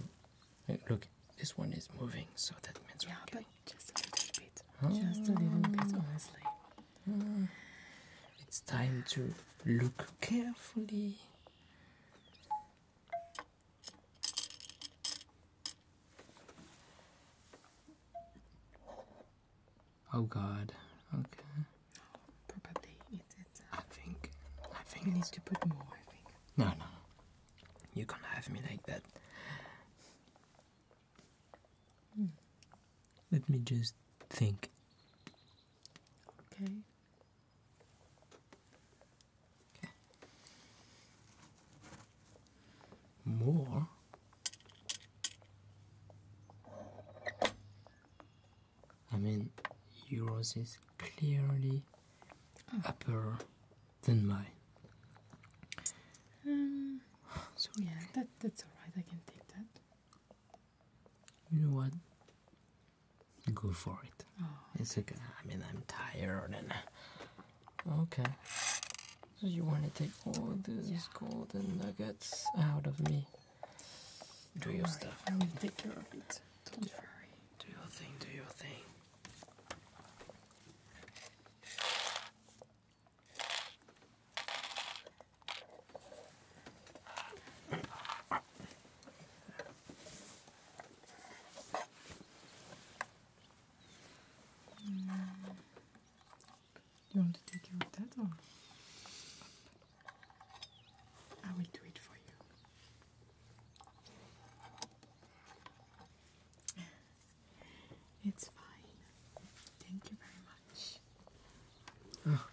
Look, this one is moving, so that means. Yeah, but just a little bit. Just a little bit, mm. honestly. Mm. It's time to look carefully. Oh God. Okay. Probably it's it. I think. I think we need to put more. I think. No, no. You can't have me like that. Let me just think. Okay. okay. More. I mean, yours is clearly oh. upper than mine. Um, so yeah, that that's alright, I can take that. You know what? Go for it. Oh, it's okay. I mean, I'm tired Okay. So you want to take all these golden nuggets out of me? Do your stuff. I will take care of it. Don't worry. Do your thing. Do your thing. You want to take care of that or up? I will do it for you. It's fine. Thank you very much. Oh.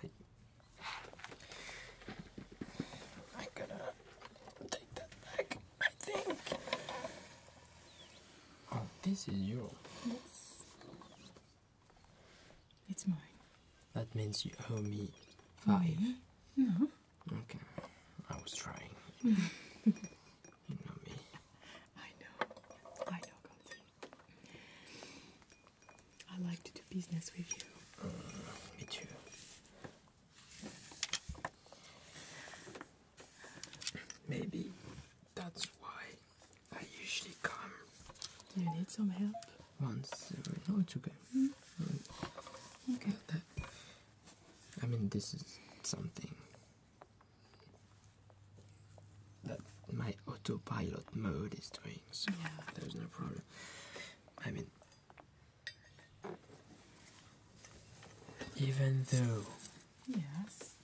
Wait. I gotta take that back, I think. Oh, this is yours. Yes. It's mine. That means you owe me five. No. Okay. I was trying. (laughs) You know me. I know. I know, Gonzi. I like to do business with you. Mm, me too. Maybe that's why I usually come. Do You need some help? Once every. No, it's okay. Hmm? Mm. okay. I mean, this is something that my autopilot mode is doing, so yeah. there's no problem. I mean, even though yes,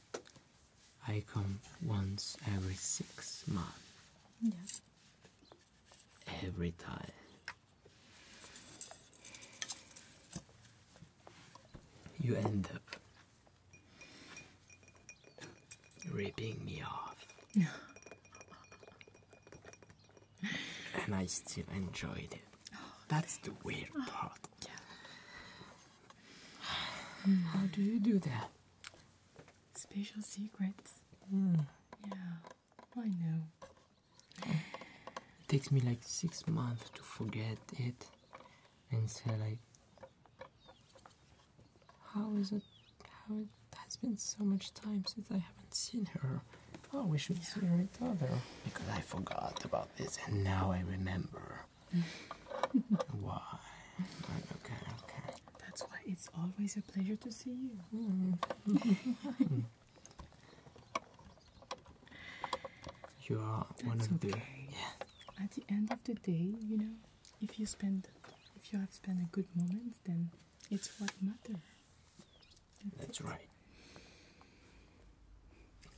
I come once every six months. Yeah, Every time you end up ripping me off. (laughs) and I still enjoyed it. Oh, That's the weird oh, part. How do you do that? Special secrets. Hmm. Yeah, I know. It takes me like six months to forget it and said, like how is it how it has been so much time since I haven't seen her. Oh, we should see each other. Because I forgot about this and now I remember. (laughs) why? Okay, okay. That's why it's always a pleasure to see you. Hmm. (laughs) You are one of the. Yeah. At the end of the day, you know, if you spend, if you have spent a good moment, then it's what matters. That's, right.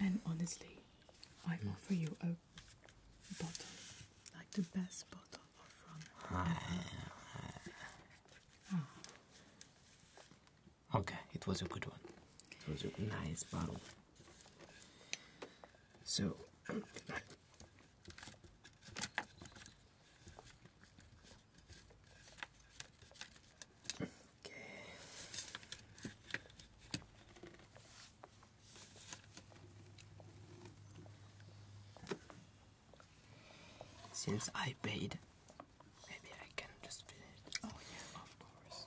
And honestly, I mm. offer you a bottle, like the best bottle of rum. (laughs) Okay, it was a good one. It was a nice bottle. So, (clears throat) since I paid, maybe I can just finish. Oh yeah, of course.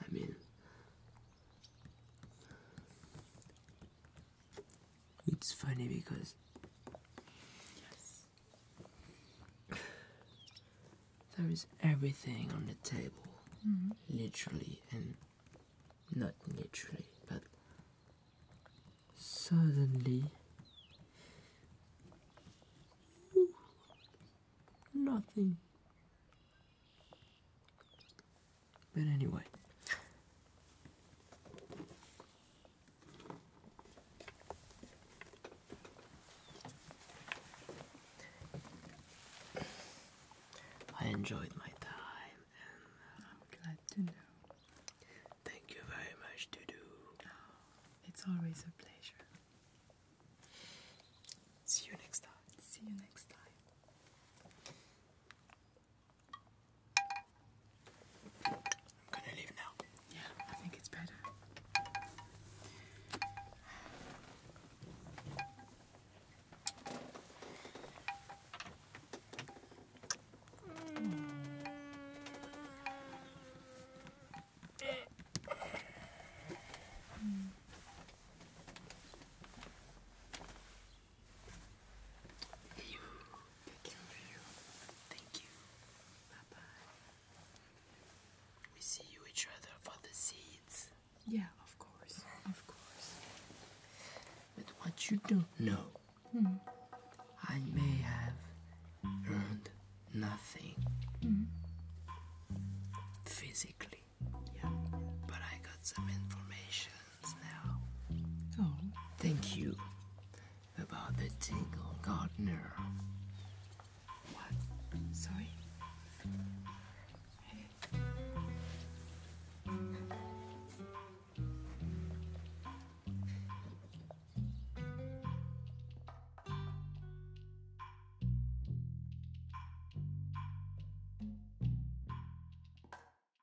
I mean, it's funny because (sighs) there is everything on the table, mm-hmm. literally and not literally, but suddenly nothing. But anyway. I enjoyed my time and uh, I'm glad to know. Thank you very much to oh, do. it's always a pleasure. See you next time. See you next time. I'm gonna leave now. Yeah, I think it's better. Mm. You, take you. Thank you. Bye bye. We see you each other for the seeds. Yeah, of course, of course. But what you don't know, hmm. I may have earned nothing hmm. physically, yeah. but I got some information. Oh, thank you about the tingle gardener. What? Sorry?